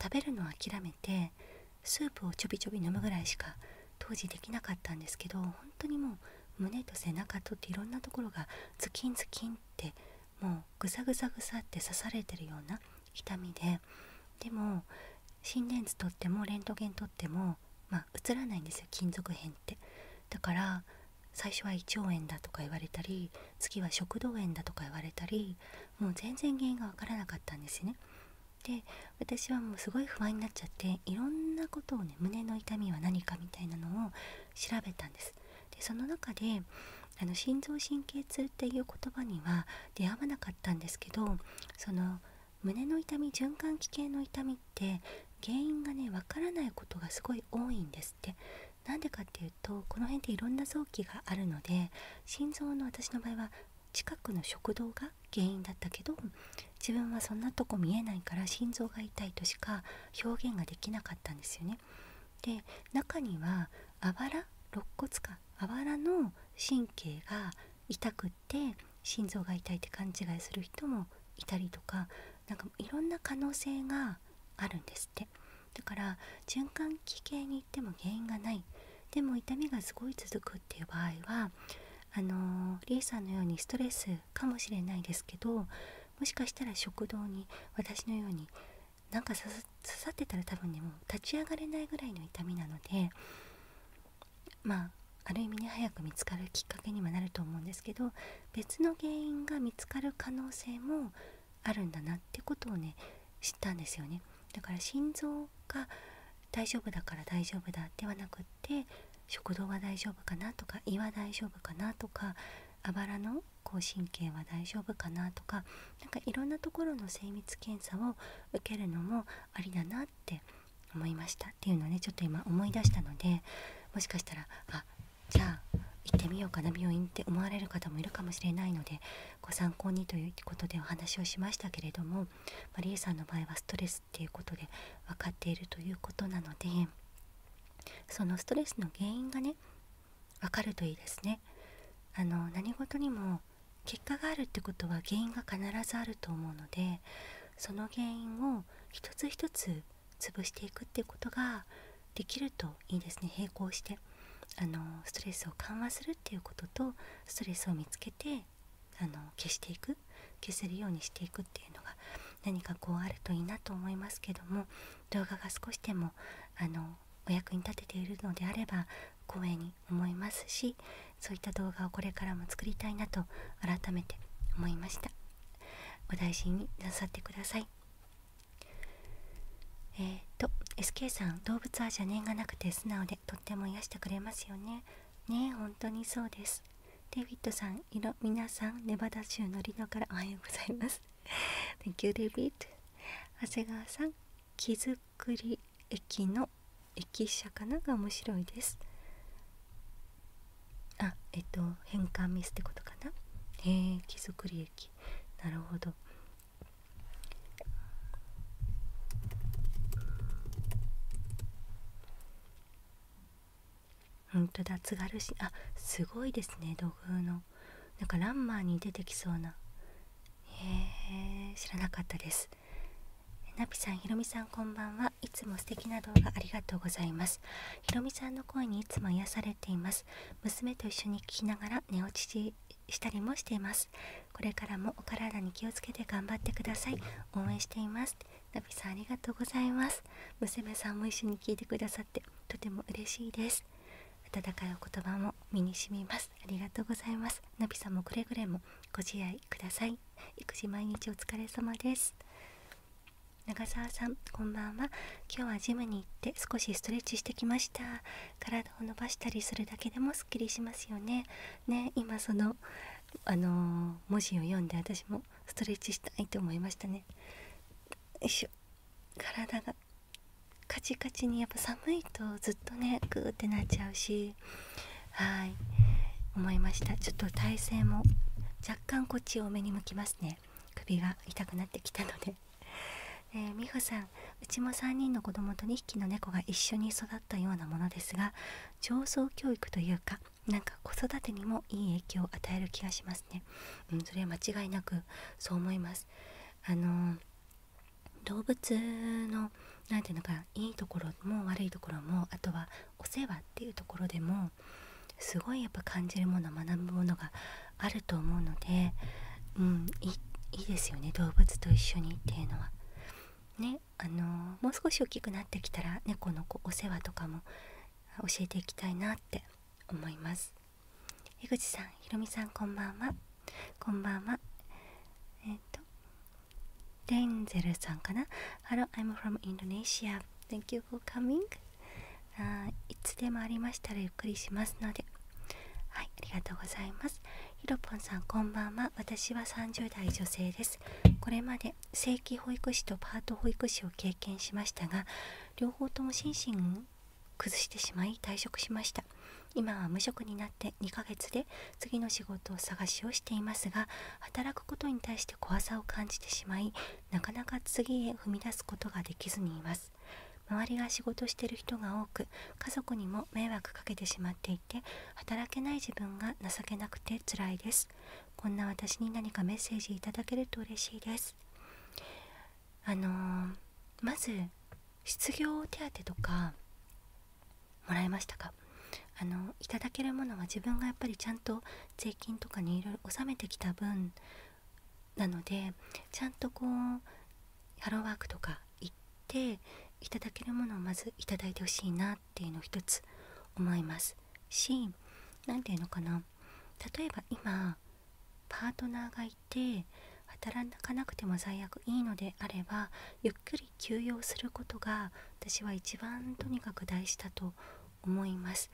食べるのを諦めてスープをちょびちょび飲むぐらいしか当時できなかったんですけど本当にもう胸と背中とっていろんなところがズキンズキンってもうぐさぐさぐさって刺されてるような痛みででも心電図とってもレントゲン取ってもまあ映らないんですよ金属片ってだから最初は胃腸炎だとか言われたり次は食道炎だとか言われたりもう全然原因が分からなかったんですねで私はもうすごい不安になっちゃっていろんなことをね胸の痛みは何かみたいなのを調べたんですでその中であの心臓神経痛っていう言葉には出会わなかったんですけどその胸の痛み循環器系の痛みって原因がねわからないことがすごい多いんですってなんでかっていうとこの辺っていろんな臓器があるので心臓の私の場合は近くの食道が原因だったけど自分はそんなとこ見えないから心臓が痛いとしか表現ができなかったんですよね。で中にはあばら肋骨かあばらの神経が痛くって心臓が痛いって勘違いする人もいたりとかなんかいろんな可能性があるんですってだから循環器系に行っても原因がないでも痛みがすごい続くっていう場合はあのりえさんのようにストレスかもしれないですけどもしかしたら食道に私のようになんか刺さってたら多分ねもう立ち上がれないぐらいの痛みなのでまあある意味ね早く見つかるきっかけにはなると思うんですけど別の原因が見つかる可能性もあるんだなってことをね知ったんですよねだから心臓が大丈夫だから大丈夫だではなくって食道は大丈夫かなとか胃は大丈夫かなとかあばらのこう神経は大丈夫かなとか何かいろんなところの精密検査を受けるのもありだなっって思いましたっていうのをねちょっと今思い出したのでもしかしたらあじゃあ行ってみようかな病院って思われる方もいるかもしれないのでご参考にということでお話をしましたけれどもまりえさんの場合はストレスっていうことで分かっているということなのでそのストレスの原因がね分かるといいですね。あの何事にも結果があるってことは原因が必ずあると思うのでその原因を一つ一つ潰していくってことができるといいですね並行してあのストレスを緩和するっていうこととストレスを見つけてあの消していく消せるようにしていくっていうのが何かこうあるといいなと思いますけども動画が少しでもあのお役に立てているのであれば光栄にに思いますしそういった動画をこれからも作りたいなと改めて思いましたお大事になさってくださいえっと SK さん動物は邪念がなくて素直でとっても癒してくれますよねねえ本当にそうですデイビッドさんい皆さんネバダ州のリノからおはようございます Thank you デ a v i d 長谷川さん気づくり駅の駅舎かなが面白いですあえっと変換ミスってことかなへえ木造駅なるほど本当だ津軽市あすごいですね土偶のなんかランマーに出てきそうなへえ知らなかったですナピさん、ひろみさんこんばんは。いつも素敵な動画ありがとうございます。ひろみさんの声にいつも癒されています。娘と一緒に聞きながら寝落ちしたりもしています。これからもお体に気をつけて頑張ってください。応援しています。ナピさんありがとうございます。娘さんも一緒に聞いてくださってとても嬉しいです。温かいお言葉も身に染みます。ありがとうございます。ナピさんもくれぐれもご自愛ください育児毎日お疲れ様です長澤さんこんばんは今日はジムに行って少しストレッチしてきました体を伸ばしたりするだけでもすっきりしますよねね今そのあの文字を読んで私もストレッチしたいと思いましたねよいしょ体がカチカチにやっぱ寒いとずっとねグーってなっちゃうしはい思いましたちょっと体勢も若干こっちを目に向きますね首が痛くなってきたので、えー、美穂さんうちも3人の子供と2匹の猫が一緒に育ったようなものですが上層教育というかなんか子育てにもいい影響を与える気がしますね、うん、それは間違いなくそう思いますあの動物の何ていうのかいいところも悪いところもあとはお世話っていうところでもすごいやっぱ感じるもの学ぶものがあると思うので、うん、いいですよね動物と一緒にっていうのは。ねあのもう少し大きくなってきたら猫のお世話とかも教えていきたいなって思います。江口さん、ひろみさんこんばんは。こんばんは。えっ、と、デンゼルさんかな Hello, I'm from Indonesia. Thank you for coming. あいつでもありましたらゆっくりしますので。はい、ありがとうございます。ひろぽんさん、こんばんは。私は30代女性です。これまで正規保育士とパート保育士を経験しましたが、両方とも心身崩してしまい退職しました。今は無職になって2ヶ月で次の仕事を探しをしていますが働くことに対して怖さを感じてしまいなかなか次へ踏み出すことができずにいます周りが仕事してる人が多く家族にも迷惑かけてしまっていて働けない自分が情けなくてつらいですこんな私に何かメッセージいただけると嬉しいですあのまず失業手当とかもらえましたかあのいただけるものは自分がやっぱりちゃんと税金とかにいろいろ納めてきた分なのでちゃんとこうハローワークとか行っていただけるものをまずいただいてほしいなっていうのを一つ思いますし何て言うのかな例えば今パートナーがいて働かなくても最悪いいのであればゆっくり休養することが私は一番とにかく大事だと思います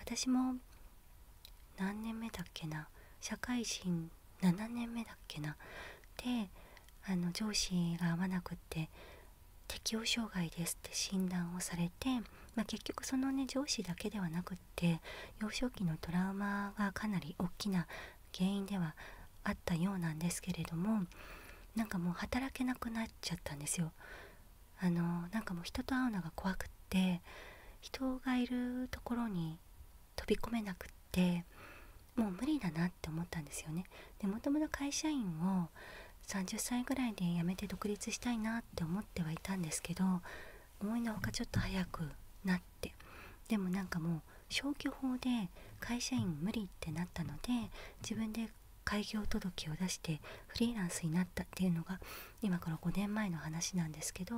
私も何年目だっけな社会人7年目だっけなであの上司が合わなくって適応障害ですって診断をされて、ま結局そのね上司だけではなくって幼少期のトラウマがかなり大きな原因ではあったようなんですけれどもなんかもう働けなくなっちゃったんですよ。あのなんかもう人と会うのが怖くって人がいるところに飛び込めなくってもう無理だなって思ったんですよね。でもともと会社員を30歳ぐらいで辞めて独立したいなって思ってはいたんですけど思いのほかちょっと早くなってでもなんかもう消去法で会社員無理ってなったので自分で開業届を出してフリーランスになったっていうのが今から5年前の話なんですけど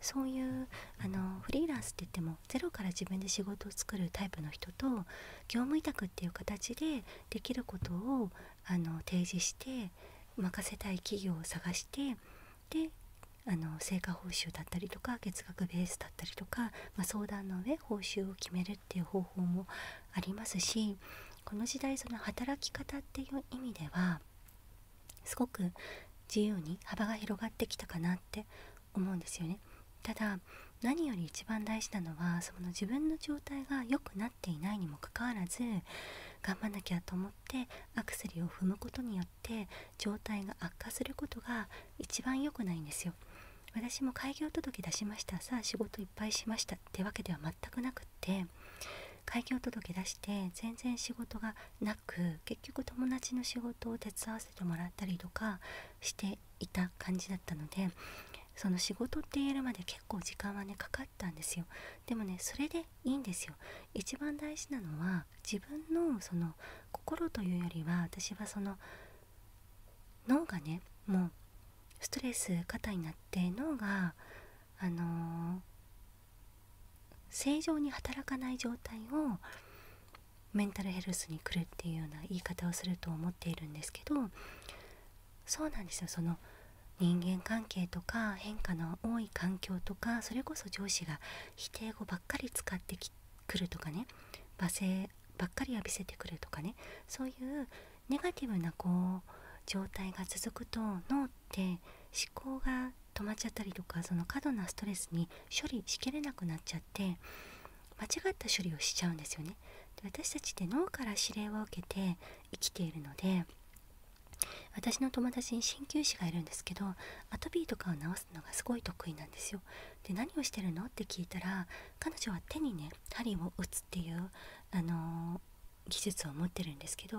そういうあのフリーランスって言ってもゼロから自分で仕事を作るタイプの人と業務委託っていう形でできることをあの提示して任せたい企業を探してであの成果報酬だったりとか月額ベースだったりとか、ま相談の上報酬を決めるっっていう方法もありますしこの時代その働き方っていう意味ではすごく自由に幅が広がってきたかなって思うんですよね。ただ何より一番大事なのはその自分の状態が良くなっていないにもかかわらず頑張んなきゃと思ってアクセルを踏むことによって状態が悪化することが一番良くないんですよ私も開業届出しましたさあ仕事いっぱいしましたってわけでは全くなくって開業届出して全然仕事がなく結局友達の仕事を手伝わせてもらったりとかしていた感じだったのでその仕事って言えるまで結構時間はねかかったんですよでもねそれでいいんですよ一番大事なのは自分のその心というよりは私はその脳がねもうストレス過多になって脳があの正常に働かない状態をメンタルヘルスに来るっていうような言い方をすると思っているんですけどそうなんですよその人間関係とか変化の多い環境とかそれこそ上司が否定語ばっかり使ってくるとかね罵声ばっかり浴びせてくるとかねそういうネガティブなこう状態が続くと脳って思考が止まっちゃったりとかその過度なストレスに処理しきれなくなっちゃって間違った処理をしちゃうんですよね。で私たちって脳から指令を受けて生きているので私の友達に鍼灸師がいるんですけどアトピーとかを治すのがすごい得意なんですよ。で何をしてるのって聞いたら彼女は手にね針を打つっていう、あの技術を持ってるんですけど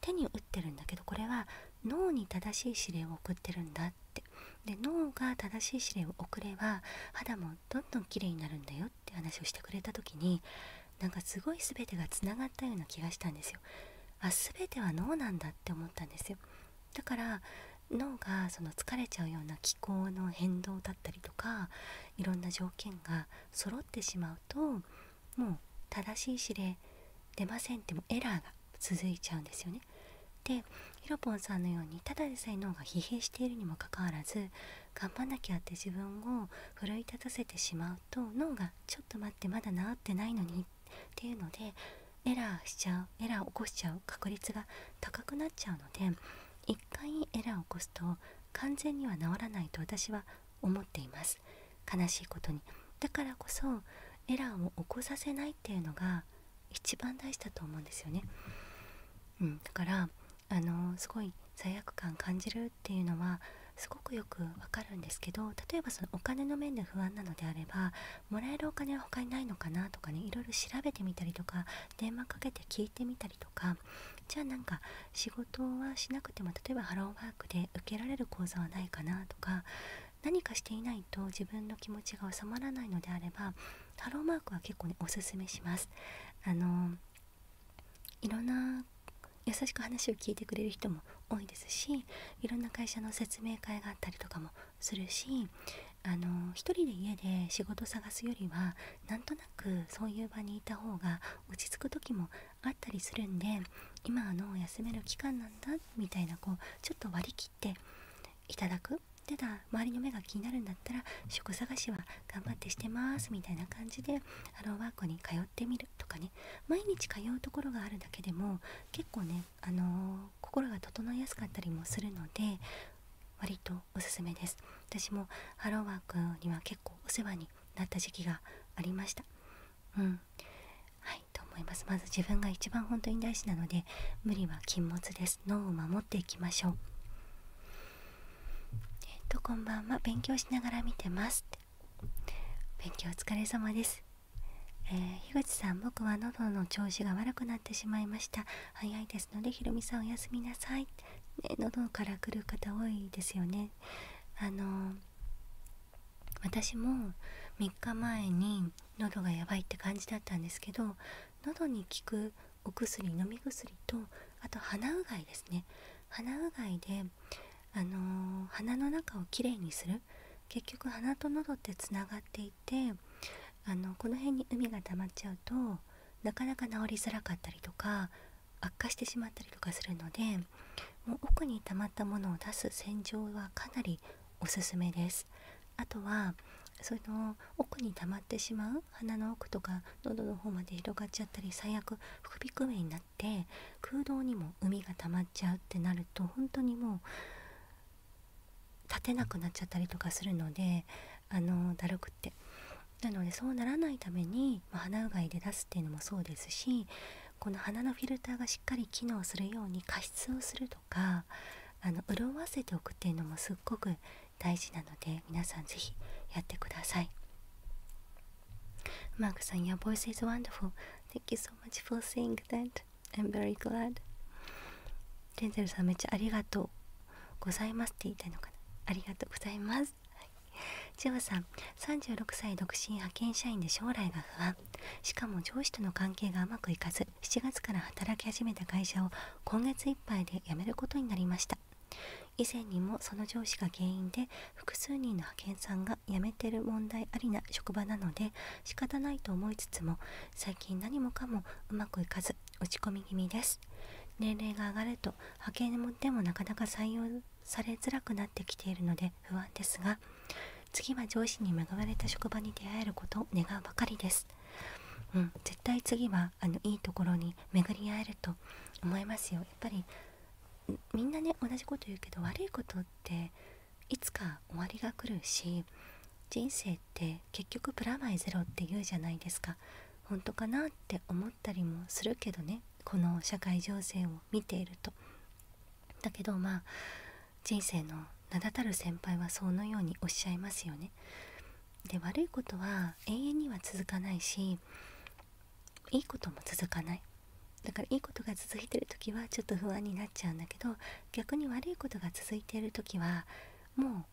手に打ってるんだけどこれは脳に正しい指令を送ってるんだってで脳が正しい指令を送れば肌もどんどん綺麗になるんだよって話をしてくれた時になんかすごい全てがつながったような気がしたんですよ。あ全ては脳なんだって思ったんですよ。だから脳がその疲れちゃうような気候の変動だったりとかいろんな条件が揃ってしまうともう正しい指令出ませんってもエラーが続いちゃうんですよね。でひろぽんさんのようにただでさえ脳が疲弊しているにもかかわらず頑張んなきゃって自分を奮い立たせてしまうと脳がちょっと待ってまだ治ってないのにっていうのでエラーしちゃうエラーを起こしちゃう確率が高くなっちゃうので一一回エラーを起こすと完全には治らないと私は思っています悲しいことにだからこそエラーを起こさせないっていうのが一番大事だと思うんですよね、うん、だからあのすごい罪悪感感じるっていうのはすごくよくわかるんですけど例えばそのお金の面で不安なのであればもらえるお金は他にないのかなとかねいろいろ調べてみたりとか電話かけて聞いてみたりとかじゃあなんか仕事はしなくても例えばハローワークで受けられる講座はないかなとか何かしていないと自分の気持ちが収まらないのであればハローワークは結構ねおすめします。あのいろんな優しく話を聞いてくれる人も多いですしいろんな会社の説明会があったりとかもするしあの一人で家で仕事探すよりはなとななくそういう場にいた方が落ち着く時あったりするんで今の休める期間なんだみたいなこうちょっと割り切っていただくただ周りの目が気になるんだったら職探しは頑張ってしてますみたいな感じでハローワークに通ってみるとかね毎日通うところがあるだけでも結構ね、あのー、心が整いやすかったりもするので割とおすすめです私もハローワークには結構お世話になった時期がありましたうんはいと思いますまず自分が一番本当に大事なので無理は禁物です脳を守っていきましょうえっとこんばんは勉強しながら見てます勉強お疲れ様ですえー、樋口さん僕は喉の調子が悪くなってしまいました早いですのでひろみさんおやすみなさいね、喉から来る方多いですよねあの私も3日前に喉がやばいって感じだったんですけど喉に効くお薬飲み薬とあと鼻うがいですね鼻うがいで、あの鼻の中をきれいにする結局鼻と喉ってつながっていてあのこの辺に海が溜まっちゃうとなかなか治りづらかったりとか悪化してしまったりとかするのでもう奥に溜まったものを出す洗浄はかなりおすめですあとはその奥に溜まってしまう鼻の奥とか喉の方まで広がっちゃったり最悪副鼻腔炎になって空洞にも海が溜まっちゃうってなると本当にもう立てなくなっちゃったりとかするのであのだるくってなのでそうならないために、ま鼻うがいで出すっていうのもそうですしこの鼻のフィルターがしっかり機能するように加湿をするとかあの潤わせておくっていうのもすっごく大事なので皆さん是非やってください。マークさん、Your voice is wonderful. Thank you so much for saying that. I'm very glad. レンゼルさんめっちゃありがとう。ございますって言いたいのかなありがとうございますジョさん36歳独身派遣社員で将来が不安しかも上司との関係がうまくいかず7月から働き始めた会社を今月いっぱいで辞めることになりました以前にもその上司が原因で複数人の派遣さんが辞めてる問題ありな職場なので仕方ないと思いつつも最近何もかもうまくいかず落ち込み気味です年齢が上がると派遣でもなかなか採用されづらくなってきているので不安ですが次は上司に恵まれた職場に出会えることを願うばかりです、うん、絶対次はあのいいところに巡り合えると思いますよやっぱりみんなね同じこと言うけど悪いこっていつか終わりが来るし人生って結局プラマイゼロって言うじゃないですか本当かなってたりもするけどねこの社会情勢を見ていると。だけどまあ人生の名だたる先輩はそのようにおっしゃいますよね。で悪いことは永遠には続かないしいいことも続かないだからいいことが続いてる時はちょっと不安になっちゃうんだけど逆に悪いことが続いている時はも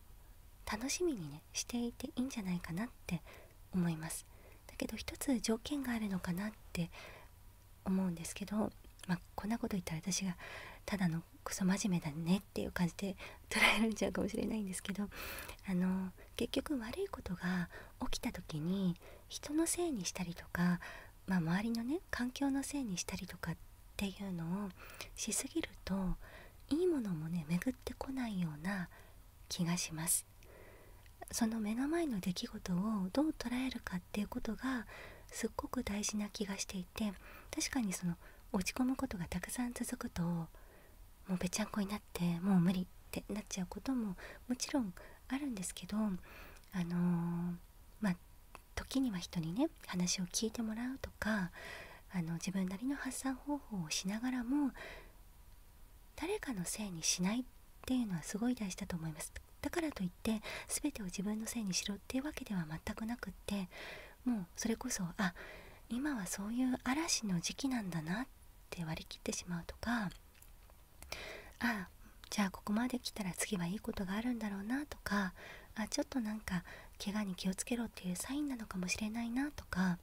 う楽しみにねしていていいんじゃないかなって思いますだけど一つ条件があるのかなって思うんですけど、まこんなこと言ったら私がただのクソ真面目だねっていう感じで捉えられちゃうかもしれないんですけどあの結局悪いことが起きた時に人のせいにしたりとか、ま周りのね環境のせいにしたりとかっていうのをしすぎるといいものもね巡ってこないような気がしますその目の前の出来事をどう捉えるかっていうことがすっごく大事な気がしていて確かにその落ち込むことがたくさん続くともうぺちゃんこになってもう無理ってなっちゃうことももちろんあるんですけどあのまあ時には人にね話を聞いてもらうとかあの自分なりの発散方法をしながらも誰かのせいにしないっていうのはすごい大事だと思いますだからといって全てを自分のせいにしろっていうわけでは全くなくってもうそれこそあ今はそういう嵐の時期なんだなって割り切ってしまうとかあじゃあここまで来たら次はいいことがあるんだろうなとかあちょっとなんか怪我に気をつけろっていうサインなのかもしれないなとか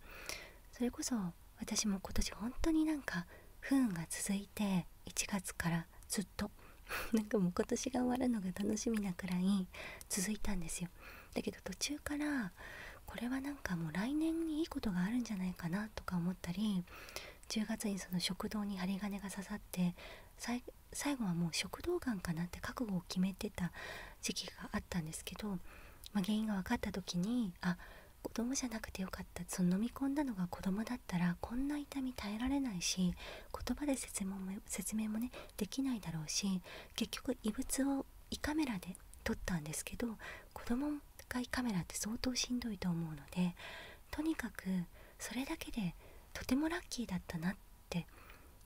それこそ私も今年本当になんか不運が続いて1月からずっと なんかもう今年が終わるのが楽しみなくらい続いたんですよだけど途中からこれはなんかもう来年にいいことがあるんじゃないかなとか思ったり10月にその食堂に針金が刺さって最後はもう食道がんかなって覚悟を決めてた時期があったんですけどま原因が分かった時にあ子供じゃなくてよかったその飲み込んだのが子供だったらこんな痛み耐えられないし言葉で説明も説明もねできないだろうし結局異物を胃カメラで撮ったんですけど子供が胃カメラって相当しんどいと思うのでとにかくそれだけでとてもラッキーだったなって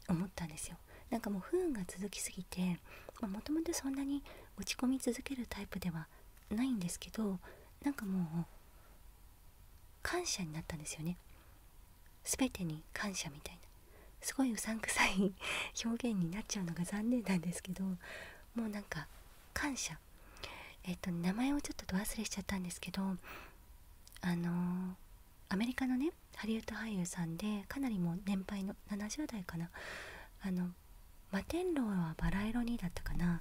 思ったんですよ。なんかもう不運が続きすぎてもともそんなに落ち込み続けるタイプではないんですけどなんかもう感謝になったんですよね全てに感謝みたいなすごいうさんくさい表現になっちゃうのが残念なんですけどもうなんか感謝えっと名前をちょっとど忘れしちゃったんですけどあのアメリカのねハリウッド俳優さんでかなりもう年配の70代かなあの摩天楼はバラ色にだったかな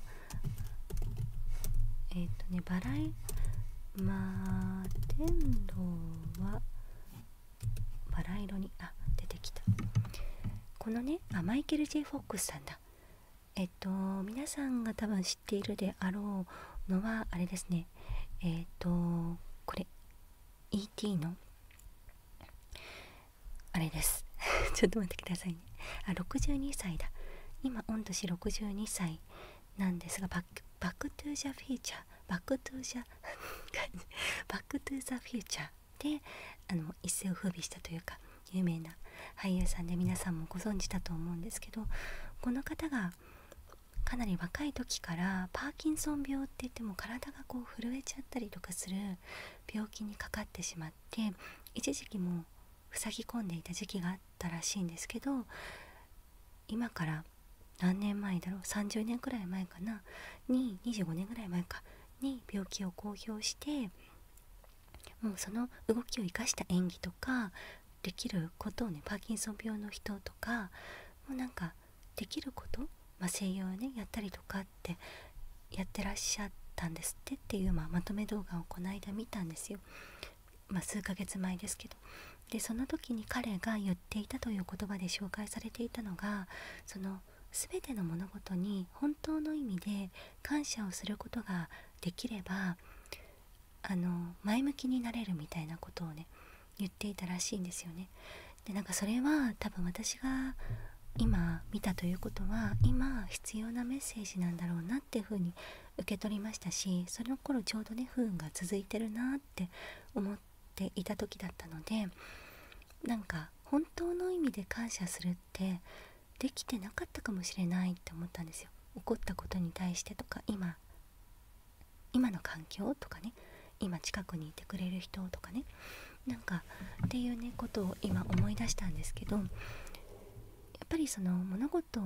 えっ、とねバラ摩天楼はバラ色にあ出てきたこのねマイケル・ジ J・ フォックスさんだえっと皆さんが多分知っているであろうのはあれですねえっとこれ E.T. のあれです ちょっと待ってくださいねあ62歳だ今御年62歳なんですがバックトゥザフューチャーバックトゥーザ バックトゥザフューチャーであの一世を風靡したというか有名な俳優さんで皆さんもご存知だと思うんですけどこの方がかなり若い時からパーキンソン病って言っても体がこう震えちゃったりとかする病気にかかってしまって一時期もふさぎ込んでいた時期があったらしいんですけど今から何年前だろう30年くらい前かなに25年ぐらい前かに病気を公表してもうその動きを生かした演技とかできることをねパーキンソン病の人とかもうなんかできること、まあ、声優をねやったりとかってやってらっしゃったんですってっていう、まあ、まとめ動画をこの間見たんですよ、ま数ヶ月前ですけどでその時に彼が言っていたという言葉で紹介されていたのがその全ての物事に本当の意味で感謝をすることができればあの前向きになれるみたいなことをね言っていたらしいんですよね。でなんかそれは多分私が今見たということは今必要なメッセージなんだろうなっていうふうに受け取りましたしその頃ちょうどね不運が続いてるなって思っていた時だったのでなんか本当の意味で感謝するってできてなかったかもしれないって思ったんですよ。怒ったことに対してとか今今の環境とかね今近くにいてくれる人とかねなんかっていうねことを今思い出したんですけどやっぱりその物事を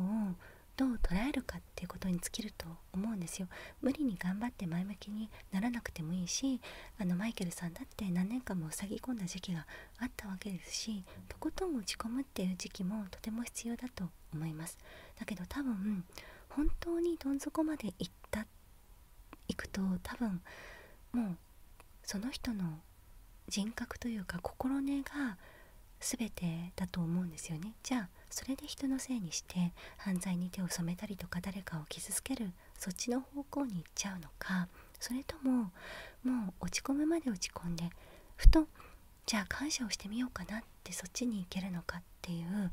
どう捉えるかっていうことに尽きると思うんですよ無理に頑張って前向きにならなくてもいいしあのマイケルさんだって何年間も塞ぎ込んだ時期があったわけですしとことん打ち込むっていう時期もとても必要だと思いますだけど多分本当にどん底まで行ったっいくと多分もうその人の人格というか心根が全てだと思うんですよねじゃあそれで人のせいにして犯罪に手を染めたりとか誰かを傷つけるそっちの方向に行っちゃうのかそれとももう落ち込むまで落ち込んでふとじゃあ感謝をしてみようかなってそっちに行けるのかっていう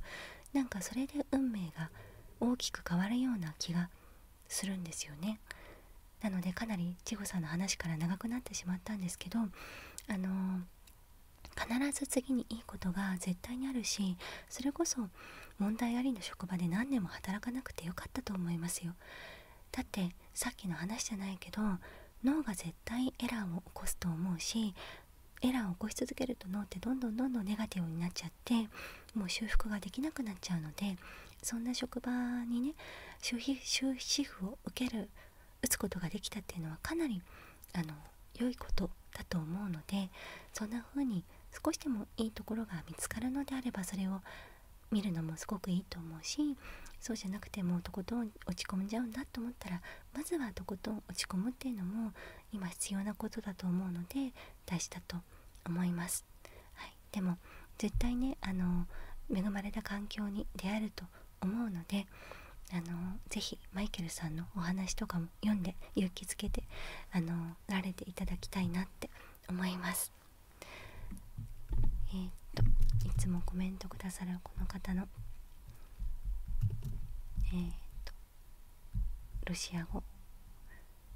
なんかそれで運命が大きく変わるような気がするんですよね。なのでかなり千穂さんの話から長くなってしまったんですけどあの必ず次にいいことが絶対にあるしそれこそ問題ありの職場で何年も働かなくてよかったと思いますよ。だってさっきの話じゃないけど脳が絶対エラーを起こすと思うしエラーを起こし続けると脳ってどんどんどんどんネガティブになっちゃうゃもう修復ができなくなっちゃうのでそんな職場にね終止符を受ける打つことができたっていうのはかなりあの良いことだと思うのでそんな風に少しでもいいところが見つかるのであればそれを見るのもすごくいいと思うしそうじゃなくてもうとことん落ち込んじゃうんだと思ったらまずはとことん落ち込むっていうのも今必要なことだと思うので大事だと思います。はい、でも絶対ねあの恵まれた環境に出会えると思うのであのぜひマイケルさんのお話とかも読んで勇気づけてあのられていただきたいなって思いますえっといつもコメントくださるこの方のえっとロシア語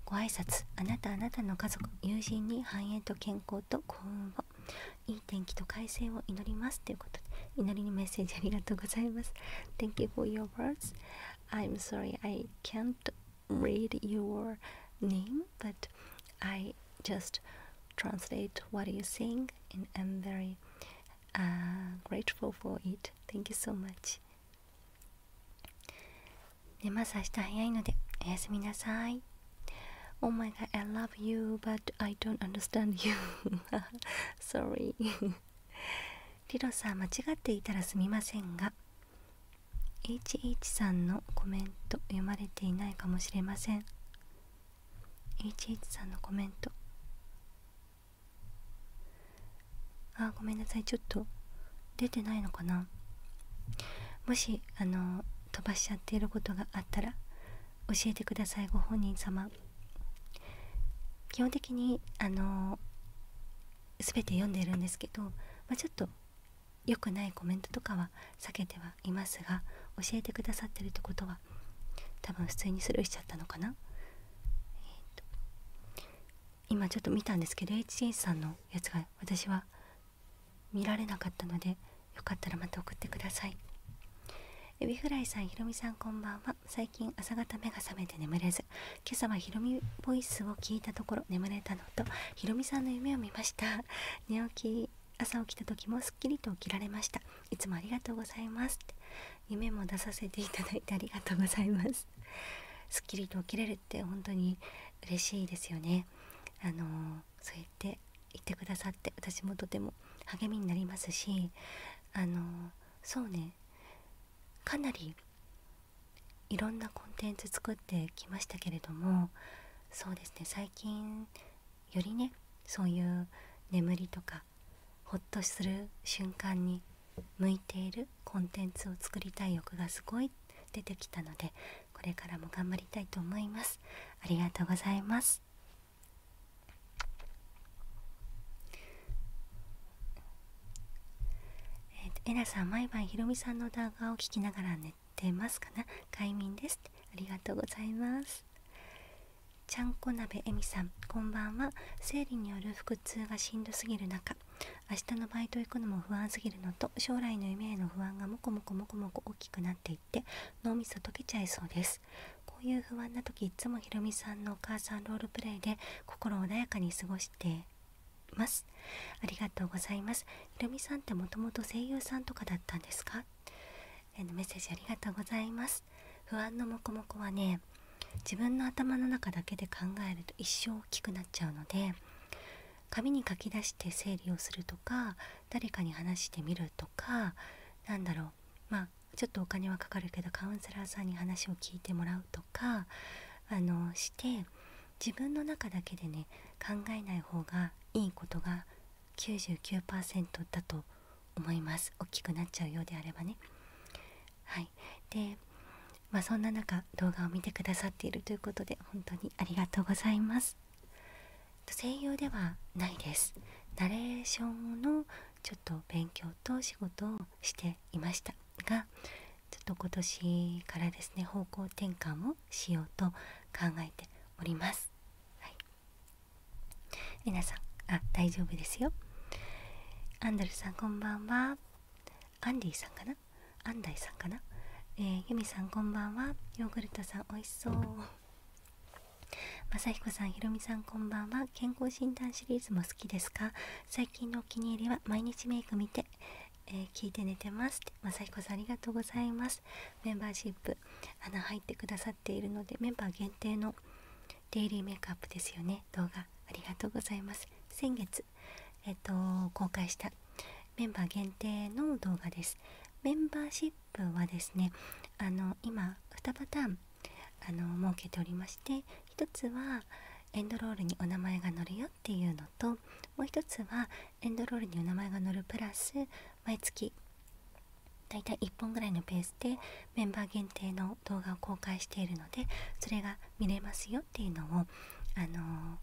ご挨拶あなたあなたの家族友人に繁栄と健康と幸運をいい天気と快晴を祈りますということで祈りのメッセージありがとうございます you for your words I'm sorry I can't read your name but I just translate what you sing and I'm very uh, grateful for it thank you so much で、ます明日早いのでおやすみなさい Oh my god, I love you, but I don't understand you. Sorry. リロさん、間違っていたらすみませんが、113のコメント読まれていないかもしれません。h 1 3のコメント。あごめんなさいちょっと出てないのかなもしあの飛ばしちゃっていることがあったら教えてくださいご本人様基本的にあの全て読んでいるんですけど、まちょっと良くないコメントとかは避けてはいますが教えてくださってるってことは多分普通にスルーしちゃったのかな、えーと、今ちょっと見たんですけど HH さんのやつが私は見られなかったのでよかったらまた送ってくださいエビフライさんひろみさんこんばんは最近朝方目が覚めて眠れず今朝はひろみボイスを聞いたところ眠れたのとひろみさんの夢を見ました寝起き朝起きた時もすっきりと起きられましたいつもありがとうございます夢も出させていただいてありがとうございますすっきりと起きれるって本当に嬉しいですよねあのそう言って言ってくださって私もとても励みになりますしあのそうねかなりいろんなコンテンツ作ってきましたけれどもそうですね最近よりねそういう眠りとかほっとする瞬間に向いているコンテンツを作りたい欲がすごい出てきたのでこれからも頑張りたいと思いますありがとうございますえな、ー、さん毎晩ひろみさんの動画を聞きながら寝てますかな快眠ですありがとうございますちゃんこ鍋えみさんこんばんは生理による腹痛がしんどすぎる中明日のバイト行くのも不安すぎるのと将来の夢への不安がもこもこもこもこ大きくなっていって脳みそ溶けちゃいそうですこういう不安な時いつもひろみさんのお母さんロールプレイで心穏やかに過ごしていますありがとうございますひろみさんってもともと声優さんとかだったんですかえのメッセージありがとうございます不安のもこもこはね自分の頭の中だけで考えると一生大きくなっちゃうので紙に書き出して整理をするとか誰かに話してみるとかなんだろうまちょっとお金はかかるけどカウンセラーさんに話を聞いてもらうとかあのして自分の中だけでね考えない方がいいことが99%だと思います大きくなっちゃうようであればね。はい、でまそんな中動画を見てくださっているということで本当にありがとうございます声優ではないですナレーションのちょっと勉強と仕事をしていましたがちょっと今年からですね方向転換をしようと考えております皆さんあ大丈夫ですよアンドルさんこんばんはアンディさんかな安大さんかなえゆみさんこんばんはヨーグルトさんおいしそうまさひこさんひろみさんこんばんは健康診断シリーズも好きですか最近のお気に入りは毎日メイク見て、え聞いて寝てますまさひこさんありがとうございますメンバーシップ穴入ってくださっているのでメンバー限定のデイリーメイクアップですよね動画ありがとうございます先月、えっと、公開したメンバー限定の動画ですメンバーシップはですねあの今2パターンあの設けておりまして1つはエンドロールにお名前が載るよっていうのともう1つはエンドロールにお名前が載るプラス毎月だいたい1本ぐらいのペースでメンバー限定の動画を公開しているのでそれが見れますよっていうのをあの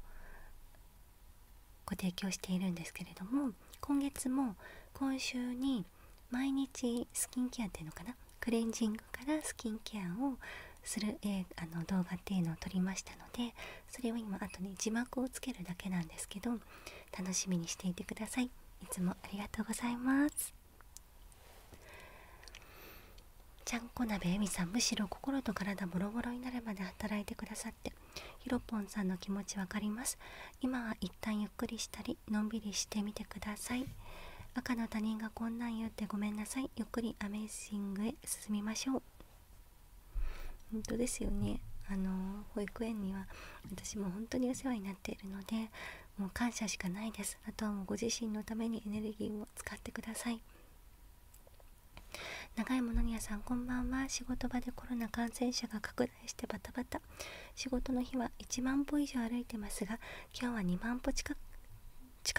ご提供しているんですけれども今月も今週に毎日スキンケアっていうのかなクレンジングからスキンケアをする、えあの動画っていうのを撮りましたのでそれを今あとね字幕をつけるだけなんですけど楽しみにしていてくださいいつもありがとうございますちゃんこなべえみさんむしろ心と体ボロボロになるまで働いてくださってひろぽんさんの気持ち分かります今は一旦ゆっくりしたりのんびりしてみてください赤の他人がこんなん言ってごめんなさいゆっくりアメイジングへ進みましょう本当ですよねあの保育園には私も本当にお世話になっているのでもう感謝しかないですあとはもうご自身のためにエネルギーを使ってください長いものにゃさんこんばんは仕事場でコロナ感染者が拡大してバタバタ仕事の日は1万歩以上歩いてますが今日は2万歩近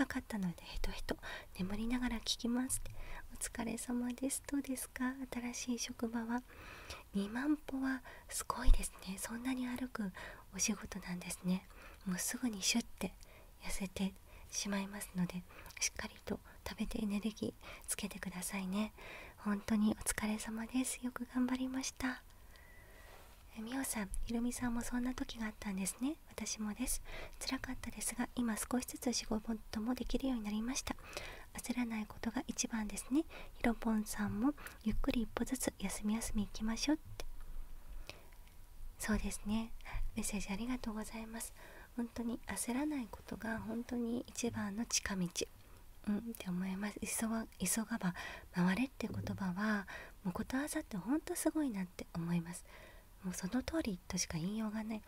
かったのでヘトヘト眠りながら聞きますお疲れ様ですどうですか新しい職場は2万歩はすごいですねそんなに歩くお仕事なんですねもうすぐにシュッて痩せてしまいますのでしっかりと食べてエネルギーつけてくださいね本当にお疲れ様ですよく頑張りましたみおさん、ひろみさんもそんな時があったんですね。私もです。つらかったですが、今少しずつ仕事もできるようになりました。焦らないことが一番ですね。ひろぽんさんも、ゆっくり一歩ずつ休み休み行きましょうって。そうですね。メッセージありがとうございます。本当に焦らないことが本当に一番の近道、うん、って思います急が急がば回れって言葉はもうことわざって本当すごいなって思いますもうその通りとしか言いようがない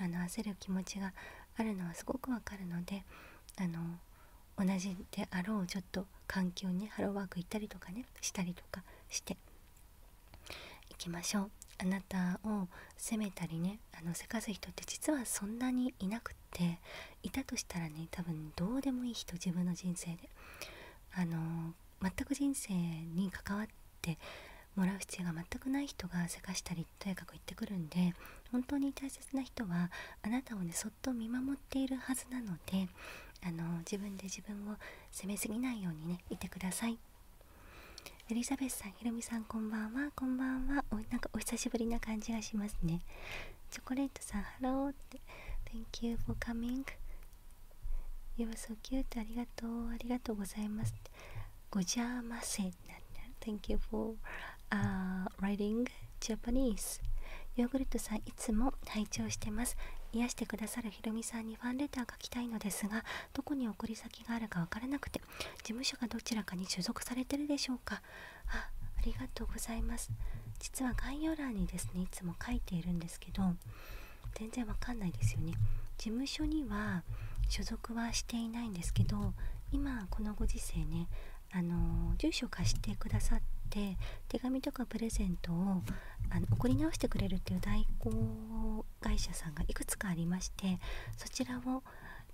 あの焦る気持ちがあるのはすごくわかるのであの同じであろうちょっと環境にハローワーク行ったりとかねしたりとかしていきましょうあなたを責めたりねあのせかす人って実はそんなにいなくっていたとしたらね多分どうでもいい人自分の人生であの全く人生に関わってもらう必要が全くない人がせかしたりとやかく言ってくるんで本当に大切な人はあなたをねそっと見守っているはずなのであの自分で自分を責めすぎないようにねいてくださいエリザベスさん、ひろみさんこんばんは、こんばんはおなんかお久しぶりな感じがしますねチョコレートさん、ハローって Thank you for coming You w r e so cute ありがとう、ありがとうございますごじゃませなんだ Thank you for、uh, writing Japanese ヨーグルトさんいつも体調してます癒してくださるひろみさんにファンレター書きたいのですがどこに送り先があるか分からなくて事務所がどちらかに所属されてるでしょうかあありがとうございます実は概要欄にですねいつも書いているんですけど全然わかんないですよね事務所には所属はしていないんですけど今このご時世ねあの住所貸してくださって手紙とかプレゼントをあの送り直してくれるっていう代行会社さんがいくつかありましてそちらを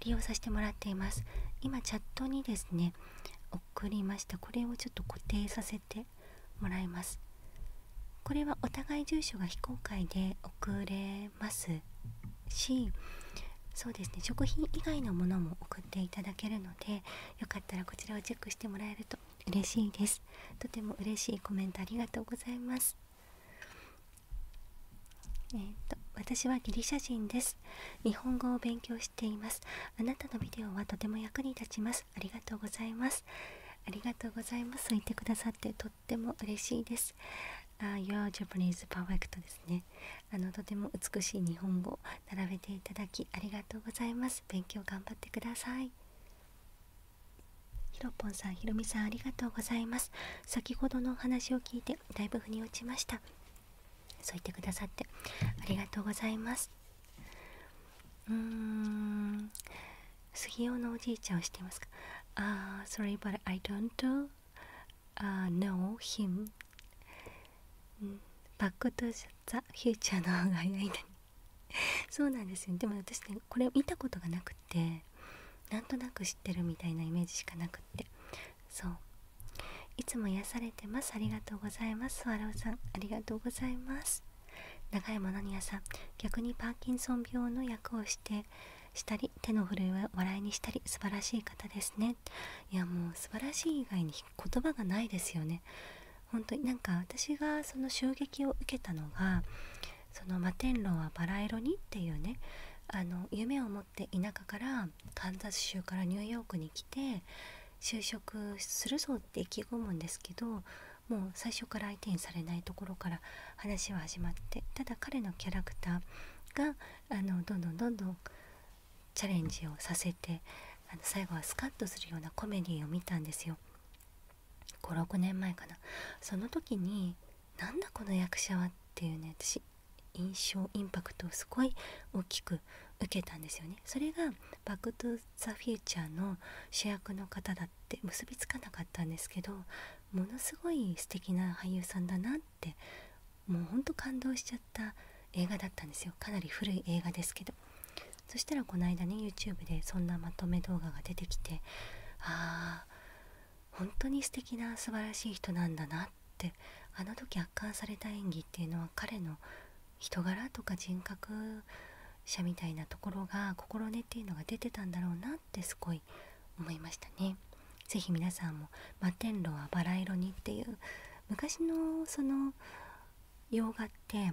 利用させてもらっています今チャットにですね送りましたこれをちょっと固定させてもらいますこれはお互い住所が非公開で送れますしそうですね食品以外のものも送っていただけるのでよかったらこちらをチェックしてもらえると嬉しいですとても嬉しいコメントありがとうございますえっと私はギリシャ人です日本語を勉強していますあなたのビデオはとても役に立ちますありがとうございますありがとうございます言てくださってとっても嬉しいですあ Your Japanese Perfect ですねあのとても美しい日本語を並べていただきありがとうございます勉強頑張ってくださいひろぽんさん、ひろみさんありがとうございます。先ほどのお話を聞いてだいぶ腑に落ちました。そう言ってくださってありがとうございます。うーん、杉尾のおじいちゃんをしていますかあ、u それ o r r y but I don't、uh, k n o バックトゥザ・フューチャーの方が早いのにそうなんですよ。でも私ね、これ見たことがなくて、なんとなく知ってるみたいなイメージしかなくってそういつも癒されてますありがとうございますスワローさんありがとうございます長山のにやさん逆にパーキンソン病の役をしてしたり手の震えを笑いにしたり素晴らしい方ですねいやもう素晴らしい以外に言葉がないですよね本当になんか私がその衝撃を受けたのがその摩天楼はバラ色にっていうねあの夢を持って田舎からカンザス州からニューヨークに来て就職するぞって意気込むんですけどもう最初から相手にされないところから話は始まってただ彼のキャラクターがあのどんどんどんどんチャレンジをさせてあの最後はスカッとするようなコメディーを見たんですよ56年前かなその時になんだこの役者はっていうね私印象インパクトをすごい大きく受けたんですよねそれが「バック・トゥ・ザ・フューチャー」の主役の方だって結びつかなかったんですけどものすごい素敵な俳優さんだなってもうほんと感動しちゃった映画だったんですよかなり古い映画ですけどそしたらこの間に YouTube でそんなまとめ動画が出てきてああ本当に素敵な素晴らしい人なんだなってあの時圧巻された演技っていうのは彼の人柄とか人格者みたいなところが心根っていうのが出てたんだろうなってすごい思いましたね。ぜひ皆さんも「摩天楼はバラ色に」っていう昔のその洋画って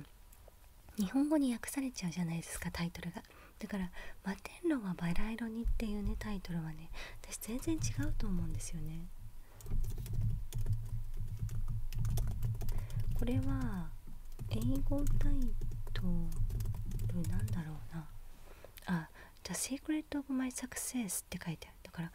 日本語に訳されちゃうじゃないですかタイトルが。だから「摩天楼はバラ色に」っていうねタイトルはね私全然違うと思うんですよねこれは英語タイトルなんだろうなあ「じゃ e Secret of My Success」って書いてあるだから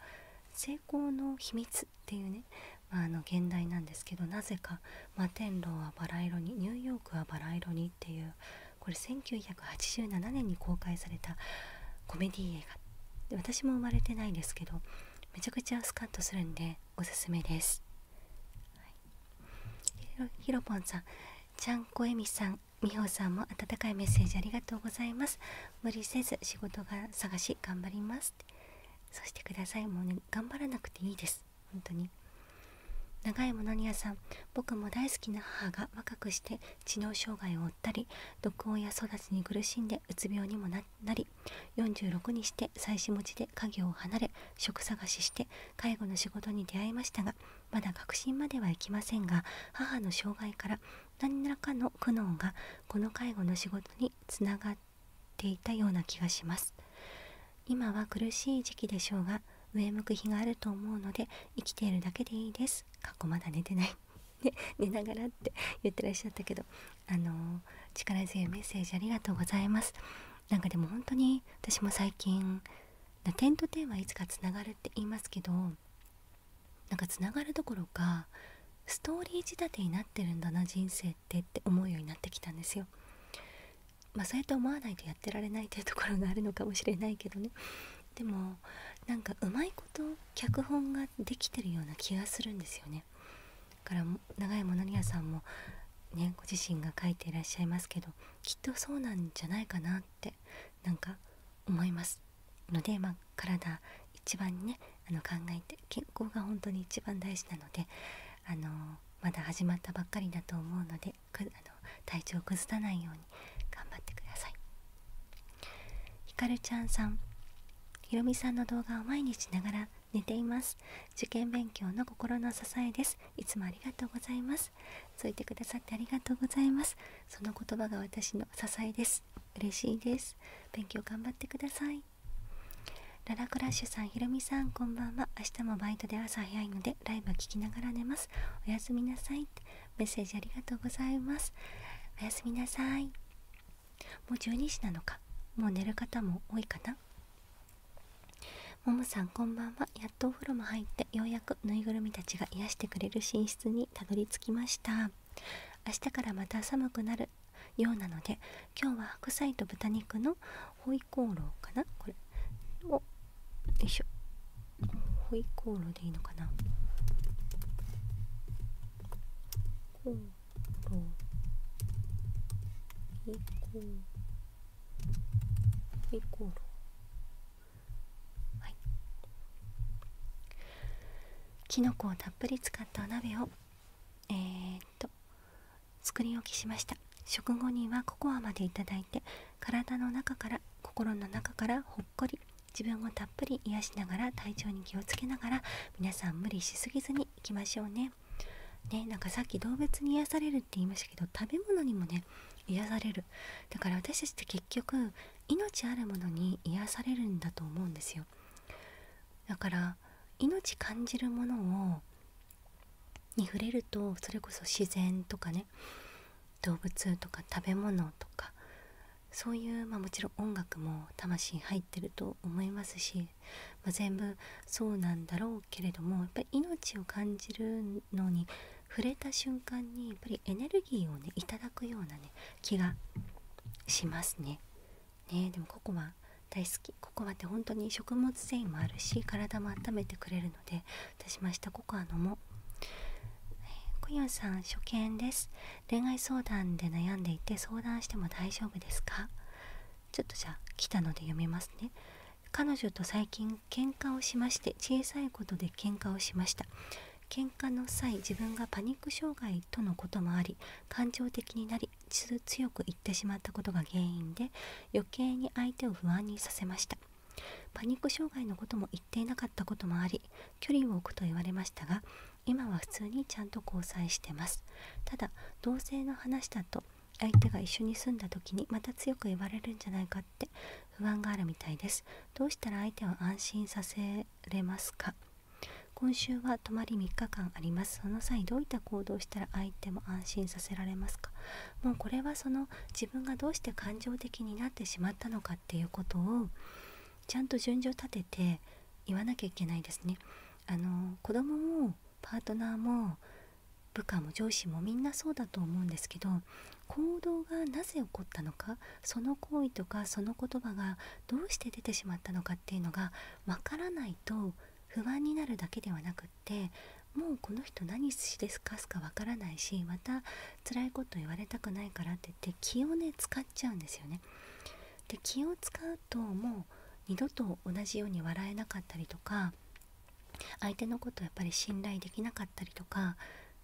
成功の秘密っていうね、まあ、あの現代なんですけどなぜか「摩天楼はバラ色に」「ニューヨークはバラ色に」っていうこれ1987年に公開されたコメディ映画で私も生まれてないですけどめちゃくちゃスカッとするんでおすすめです、ひろぽんさんちゃんこえみさんみほさんも温かいメッセージありがとうございます無理せず仕事が探し頑張りますそしてくださいもうね頑張らなくていいです本当に長いものにやさん僕も大好きな母が若くして知能障害を負ったり毒親育ちに苦しんでうつ病にもなり46にして妻子持ちで家業を離れ職探しして介護の仕事に出会いましたがまだ確信まではいきませんが母の障害から何らかの苦悩がこの介護の仕事につながっていたような気がします。今は苦しい時期でしょうが上向く日があると思うので生きているだけでいいです」かっまだ寝てない ね、寝ながらって言ってらっしゃったけど、あの力強いメッセージありがとうございますなんかでも本当に私も最近点と点はいつかつながるって言いますけどなんかつながるどころかストーリー仕立てになってるんだな人生ってって思うようになってきたんですよ。まあそうやって思わないとやってられないというところがあるのかもしれないけどねでもなんかうまいこと脚本ができてるような気がするんですよねだから長山成也さんもねご自身が書いていらっしゃいますけどきっとそうなんじゃないかなってなんか思いますので、ま体一番にねあの考えて健康が本当に一番大事なのであのまだ始まったばっかりだと思うのであの体調を崩さないように頑張ってくださいひかるちゃんさんひろみさんの動画を毎日ながら寝ています受験勉強の心の支えですいつもありがとうございますそう言ってくださってありがとうございますその言葉が私の支えです嬉しいです勉強頑張ってくださいララクラッシュさん、ひろみさん、こんばんは。明日もバイトで朝早いので、ライブ聴きながら寝ます。おやすみなさいメッセージありがとうございますおやすみなさいもう12時なのかもう寝る方も多いかなももさんこんばんはやっとお風呂も入ってようやくぬいぐるみたちが癒してくれる寝室にたどり着きました明日からまた寒くなるようなので今日は白菜と豚肉のホイコーローかなおよコきのこをたっぷり使ったお鍋をえっと作り置きしました食後にはココアまで頂いい体の中から心の中からほっこり自分をたっぷり癒しながら体調に気をつけながら皆さん無理しすぎずにいきましょうね。ねなんかさっき動物に癒されるって言いましたけど食べ物にもね癒されるだから私たちって結局命あるものに癒されるんだと思うんですよだから命感じるものをに触れるとそれこそ自然とかね動物とか食べ物とかそういう、まあ、もちろん音楽も魂入ってると思いますし、ま全部そうなんだろうけれどもやっぱり命を感じるのに触れた瞬間にやっぱりエネルギーをねいただくようなね気がしますね。ねでもココア大好きココアって本当に食物繊維もあるし体も温めてくれるので私真下ココア飲もうコヨさん初見です恋愛相談で悩んでいて相談しても大丈夫ですかちょっとじゃあ来たので読みますね彼女と最近喧嘩をしまして小さいことで喧嘩をしました喧嘩の際自分がパニック障害とのこともあり感情的になり強く言ってしまったことが原因で余計に相手を不安にさせましたパニック障害のことも言っていなかったこともあり距離を置くと言われましたが今は普通にちゃんと交際してますただ同性の話だと相手が一緒に住んだ時にまた強く言われるんじゃないかって不安があるみたいですどうしたら相手は安心させれますか今週は泊まり3日間ありますその際どういった行動をしたら相手も安心させられますかもうこれはその自分がどうして感情的になってしまったのかっていうことをちゃんと順序立てて言わなきゃいけないですね。あの子供もパートナーも部下も上司もみんなそうだと思うんですけど行動がなぜ起こったのかその行為とかその言葉がどうして出てしまったのかっていうのがわからないと不安になるだけではなくってもうこの人何しですかすかわからないしまた辛いこと言われたくないからって言って気をね使っちゃうんですよね。で気を使うともう二度と同じように笑えなかったりとか相手のことやっぱり信頼できなかったりとか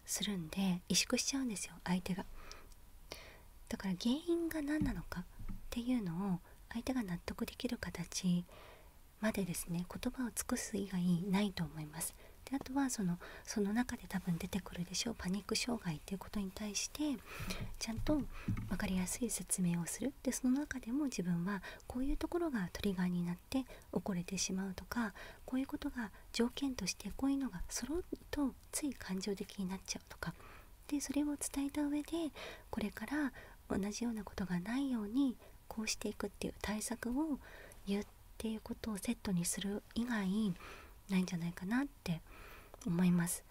するんで萎縮しちゃうんですよ相手が。だから原因が何なのかっていうのを相手が納得できる形までですね言葉を尽くす以外ないと思います。であとはそのその中で多分出てくるでしょうパニック障害っていうことに対してちゃんと分かりやすい説明をするでその中でも自分はこういうところがトリガーになって起これてしまうとかこういうことが条件としてこういうのが揃うとつい感情的になっちゃうとかでそれを伝えた上でこれから同じようなことがないようにこうしていくっていう対策を言っっていうことをセットにする以外ないんじゃないかなって思います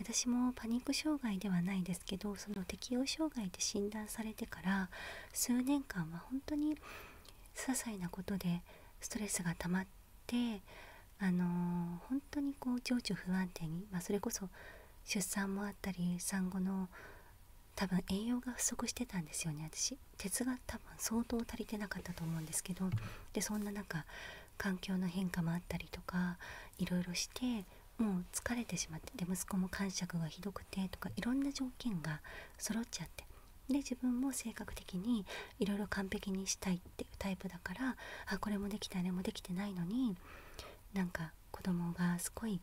私もパニック障害ではないですけどその適応障害で診断されてから数年間は本当に些細なことでストレスが溜まってあの本当にこう情緒不安定に、まそれこそ出産もあったり産後の多分栄養が不足してたんですよね私鉄が多分相当足りてなかったと思うんですけどでそんな中環境の変化もあったりとかいろいろしてもう疲れてしまってで息子も感触がひどくてとかいろんな条件が揃っちゃってで自分も性格的にいろいろ完璧にしたいっていうタイプだからあこれもできたあれもできてないのになんか子供がすごい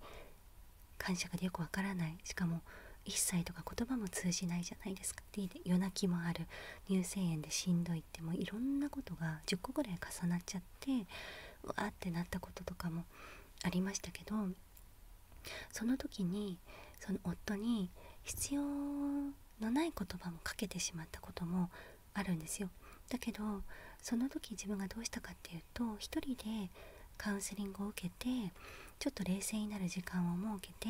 感触でよくわからないしかも一切とか言葉も通じないじゃないですかで夜泣きもある乳腺炎でしんどいってもういろんなことが10個ぐらい重なっちゃってうわってなったこととかもありましたけどその時にその夫に必要のない言葉もかけてしまったこともあるんですよだけどその時自分がどうしたかっていうと一人でカウンセリングを受けてちょっと冷静になる時間を設けて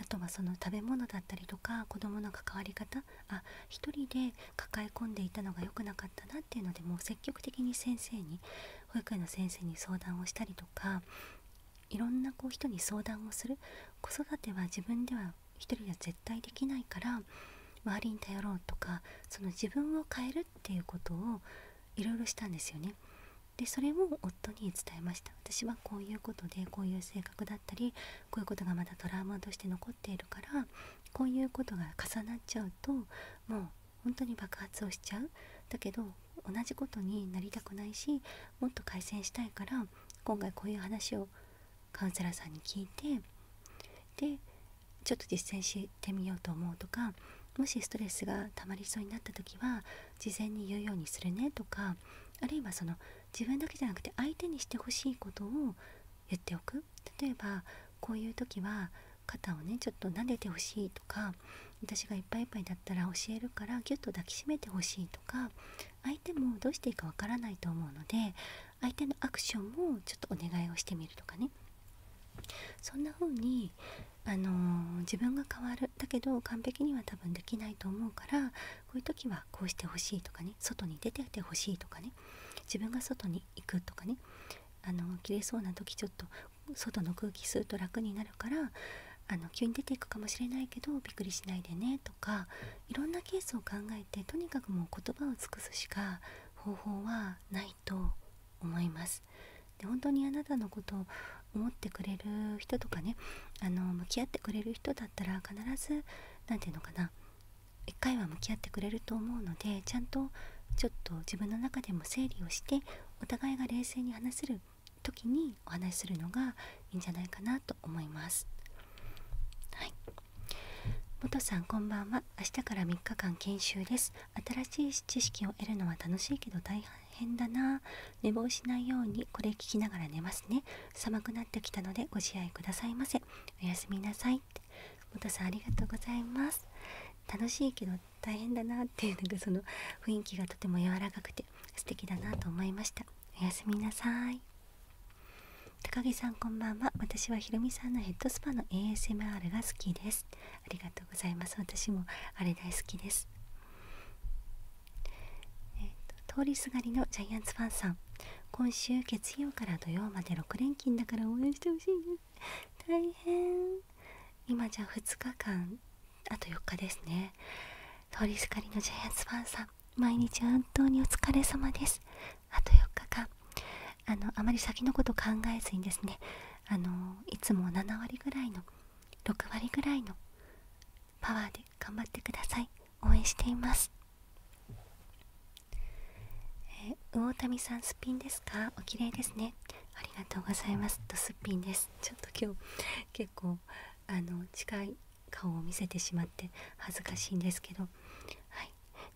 あとはその食べ物だったりとか子どもの関わり方あ一人で抱え込んでいたのが良くなかったなっていうのでもう積極的に先生に保育園の先生に相談をしたりとかいろんなこう人に相談をする子育ては自分では一人では絶対できないから周りに頼ろうとかその自分を変えるっていうことをいろいろしたんですよね。でそれを夫に伝えました私はこういうことでこういう性格だったりこういうことがまだトラウマとして残っているからこういうことが重なっちゃうともう本当に爆発をしちゃうだけど同じことになりたくないしもっと改善したいから今回こういう話をカウンセラーさんに聞いてでちょっと実践してみようと思うとかもしストレスがたまりそうになった時は事前に言うようにするねとかあるいはその自分だけじゃなくて相手にしてほしいことを言っておく例えばこういう時は肩をねちょっと撫でてほしいとか私がいっぱいいっぱいだったら教えるからぎゅっと抱きしめてほしいとか相手もどうしていいかわからないと思うので相手のアクションをちょっとお願いをしてみるとかねそんな風にあの自分が変わるだけど完璧には多分できないと思うからこういう時はこうしてほしいとかね外に出てってほしいとかね自分が外に行くとかねあの切れそうな時ちょっと外の空気吸うと楽になるからあの急に出ていくかもしれないけどびっくりしないでねとかいろんなケースを考えてとにかくもう言葉を尽くすしか方法はないと思います。で本当にあなたのことを思ってくれる人とかねあの向き合ってくれる人だったら必ず何て言うのかな一回は向き合ってくれると思うのでちゃんとちょっと自分の中でも整理をしてお互いが冷静に話せる時にお話しするのがいいんじゃないかなと思います新しい知識を得るのは楽しいけど大変だな寝坊しないようにこれ聞きながら寝ますね寒くなってきたのでご自愛くださいませおやすみなさい元さんありがとうございます楽しいけど大変だなっていうなんその雰囲気がとても柔らかくて素敵だなと思いましたおやすみなさい高木さんこんばんは私はひろみさんのヘッドスパの ASMR が好きですありがとうございます私もあれ大好きです通りすがりのジャイアンツファンさん今週月曜から土曜まで6連勤だから応援してほしい大変今じゃ2日間あと4日ですね通りすがりのジャイアンツファンさん毎日本当にお疲れ様ですあと4日間あまり先のこと考えずにですねいつも7割ぐらいの6割ぐらいのパワーで頑張ってください応援していますえ魚民さんすっぴんですかお綺麗ですねありがとうございますとすっぴんですちょっと今日結構あの近い顔を見せてしまって恥ずかしいんですけどはい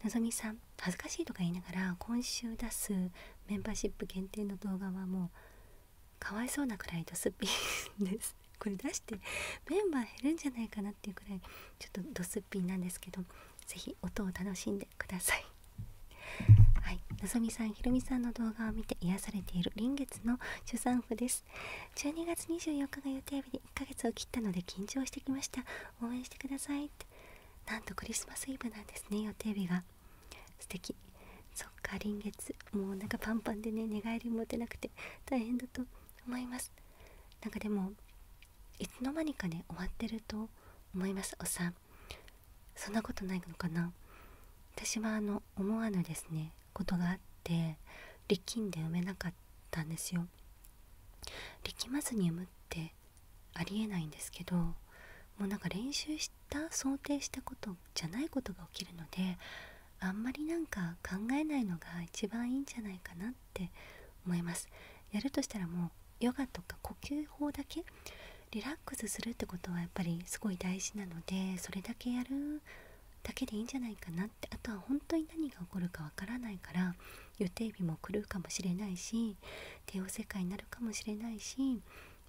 のぞみさん恥ずかしいとか言いながら今週出すメンバーシップ限定の動画はもうかわいそうなくらいドスピンです これ出してメンバー減るんじゃないかなっていうくらいちょっとドスピンなんですけど是非音を楽しんでください はいのぞみさんひろみさんの動画を見て癒されている臨月の初産婦です12月24日が予定日で1ヶ月を切ったので緊張してきました応援してくださいってなんとクリスマスイブなんですね予定日が素敵そっか臨月もうなんかパンパンでね寝返り持てなくて大変だと思いますなんかでもいつの間にかね終わってると思いますおっさん、そんなことないのかな私はあの思わぬですねことがあって力んで産めなかったんですよ力まずに産むってありえないんですけどもうなんか練習した想定したことじゃないことが起きるのであんまりなんか考えないのが一番いいんじゃないかなって思いますやるとしたらもうヨガとか呼吸法だけリラックスするってことはやっぱりすごい大事なのでそれだけやるだけでいいんじゃないかなってあとは本当に何が起こるかわからないから予定日も狂うかもしれないし帝王世界になるかもしれないし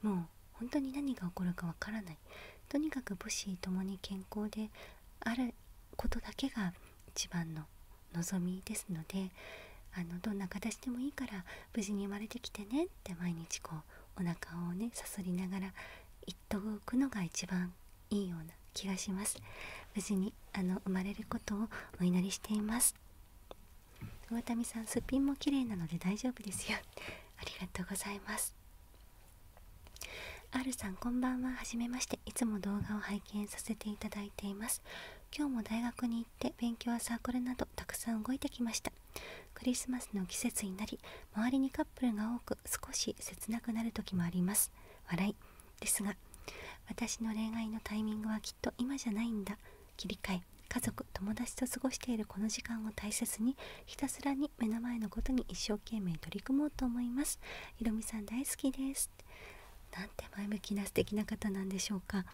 もう本当に何が起こるかわからないとにかく母子ともに健康であることだけが一番の望みですのであのどんな形でもいいから無事に生まれてきてねって毎日こうお腹をねさそりながら言っとくのが一番いいような気がします無事にあの生まれることをお祈りしています上民さんすっぴんも綺麗なので大丈夫ですよありがとうございます R さんこんばんははじめましていつも動画を拝見させていただいています今日も大学に行って勉強やサークルなどたくさん動いてきましたクリスマスの季節になり周りにカップルが多く少し切なくなる時もあります笑いですが私の恋愛のタイミングはきっと今じゃないんだ切り替え家族友達と過ごしているこの時間を大切にひたすらに目の前のことに一生懸命取り組もうと思いますひろみさん大好きですなんて前向きな素敵な方なんでしょうか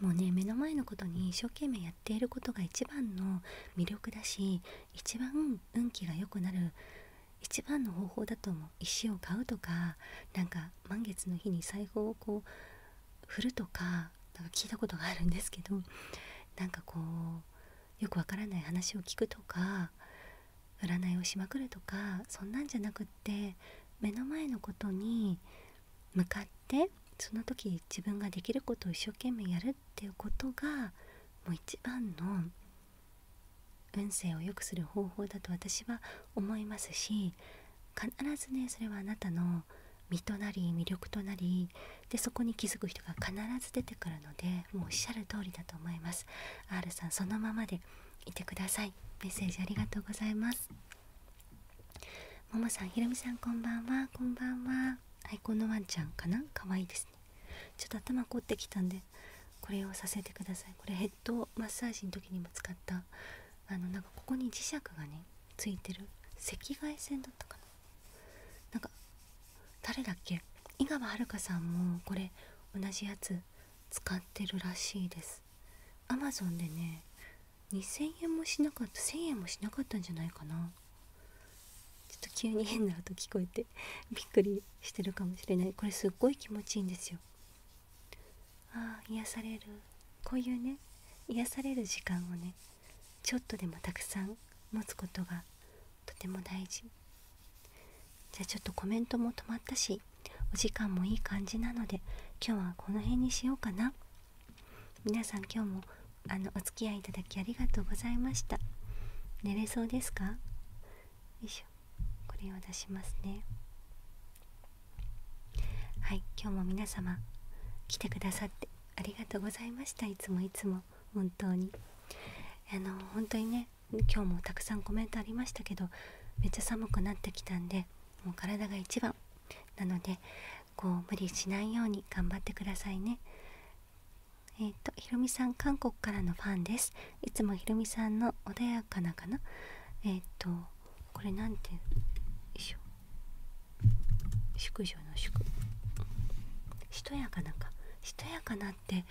もうね目の前のことに一生懸命やっていることが一番の魅力だし一番運気が良くなる一番の方法だと思う石を買うとかなんか満月の日に財布をこう振るとかなんか聞いたことがあるんですけどなんかこうよくわからない話を聞くとか占いをしまくるとかそんなんじゃなくって目の前のことに向かってその時自分ができることを一生懸命やるっていうことがもう一番の運勢を良くする方法だと私は思いますし必ずねそれはあなたの身となり魅力となりでそこに気づく人が必ず出てくるのでもうおっしゃる通りだと思います R さんそのままでいてくださいメッセージありがとうございますももさんひろみさんこんばんはこんばんははい、このワンちゃんかなかわいいですねちょっと頭凝ってきたんでこれをさせてくださいこれヘッドマッサージの時にも使ったあのなんかここに磁石がねついてる赤外線だったかななんか誰だっけ井川遥さんもこれ同じやつ使ってるらしいですアマゾンでね2000円もしなかった1000円もしなかったんじゃないかなちょっと急に変な音聞こえて びっくりしてるかもしれないこれすっごい気持ちいいんですよああ癒されるこういうね癒される時間をねちょっとでもたくさん持つことがとても大事じゃあちょっとコメントも止まったしお時間もいい感じなので今日はこの辺にしようかな皆さん今日もあのお付き合いいただきありがとうございました寝れそうですかよいしょこれを出しますねはい今日も皆様来てくださってありがとうございましたいつもいつも本当にあの本当にね今日もたくさんコメントありましたけどめっちゃ寒くなってきたんでもう体が一番なのでこう無理しないように頑張ってくださいねえっ、とひろみさん韓国からのファンですいつもひろみさんの穏やかなかなえっ、とこれなんてよいしょ縮しとやかなんかしとやかなって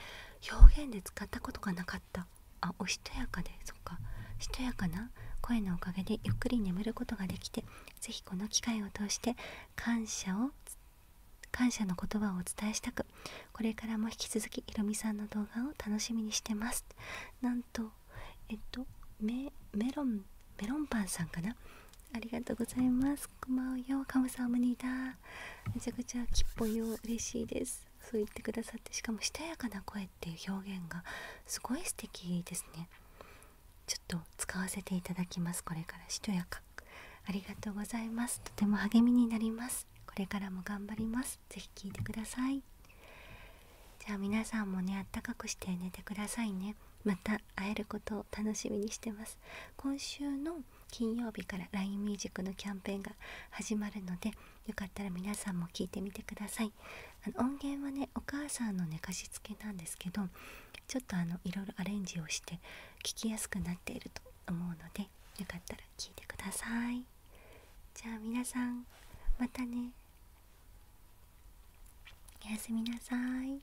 表現で使ったことがなかったあおしとやかでそっかしとやかな声のおかげでゆっくり眠ることができて是非この機会を通して感謝を感謝の言葉をお伝えしたくこれからも引き続きひろみさんの動画を楽しみにしてますなんとえっとメロンメロンパンさんかなありがとうございますこまおよかむさん、おむにだめちゃくちゃきっぽいよ嬉しいですそう言ってくださってしかもしとやかな声っていう表現がすごい素敵ですねちょっと使わせていただきますこれからしとやかありがとうございますとても励みになりますこれからも頑張ります是非聴いてくださいじゃあ皆さんもねあったかくして寝てくださいねまた会えることを楽しみにしてます今週の金曜日から LINE ミュージックのキャンペーンが始まるのでよかったら皆さんも聞いてみてくださいあの音源はねお母さんの寝かしつけなんですけどちょっとあのいろいろアレンジをして聞きやすくなっていると思うのでよかったら聞いてくださいじゃあ皆さんまたねおやすみなさい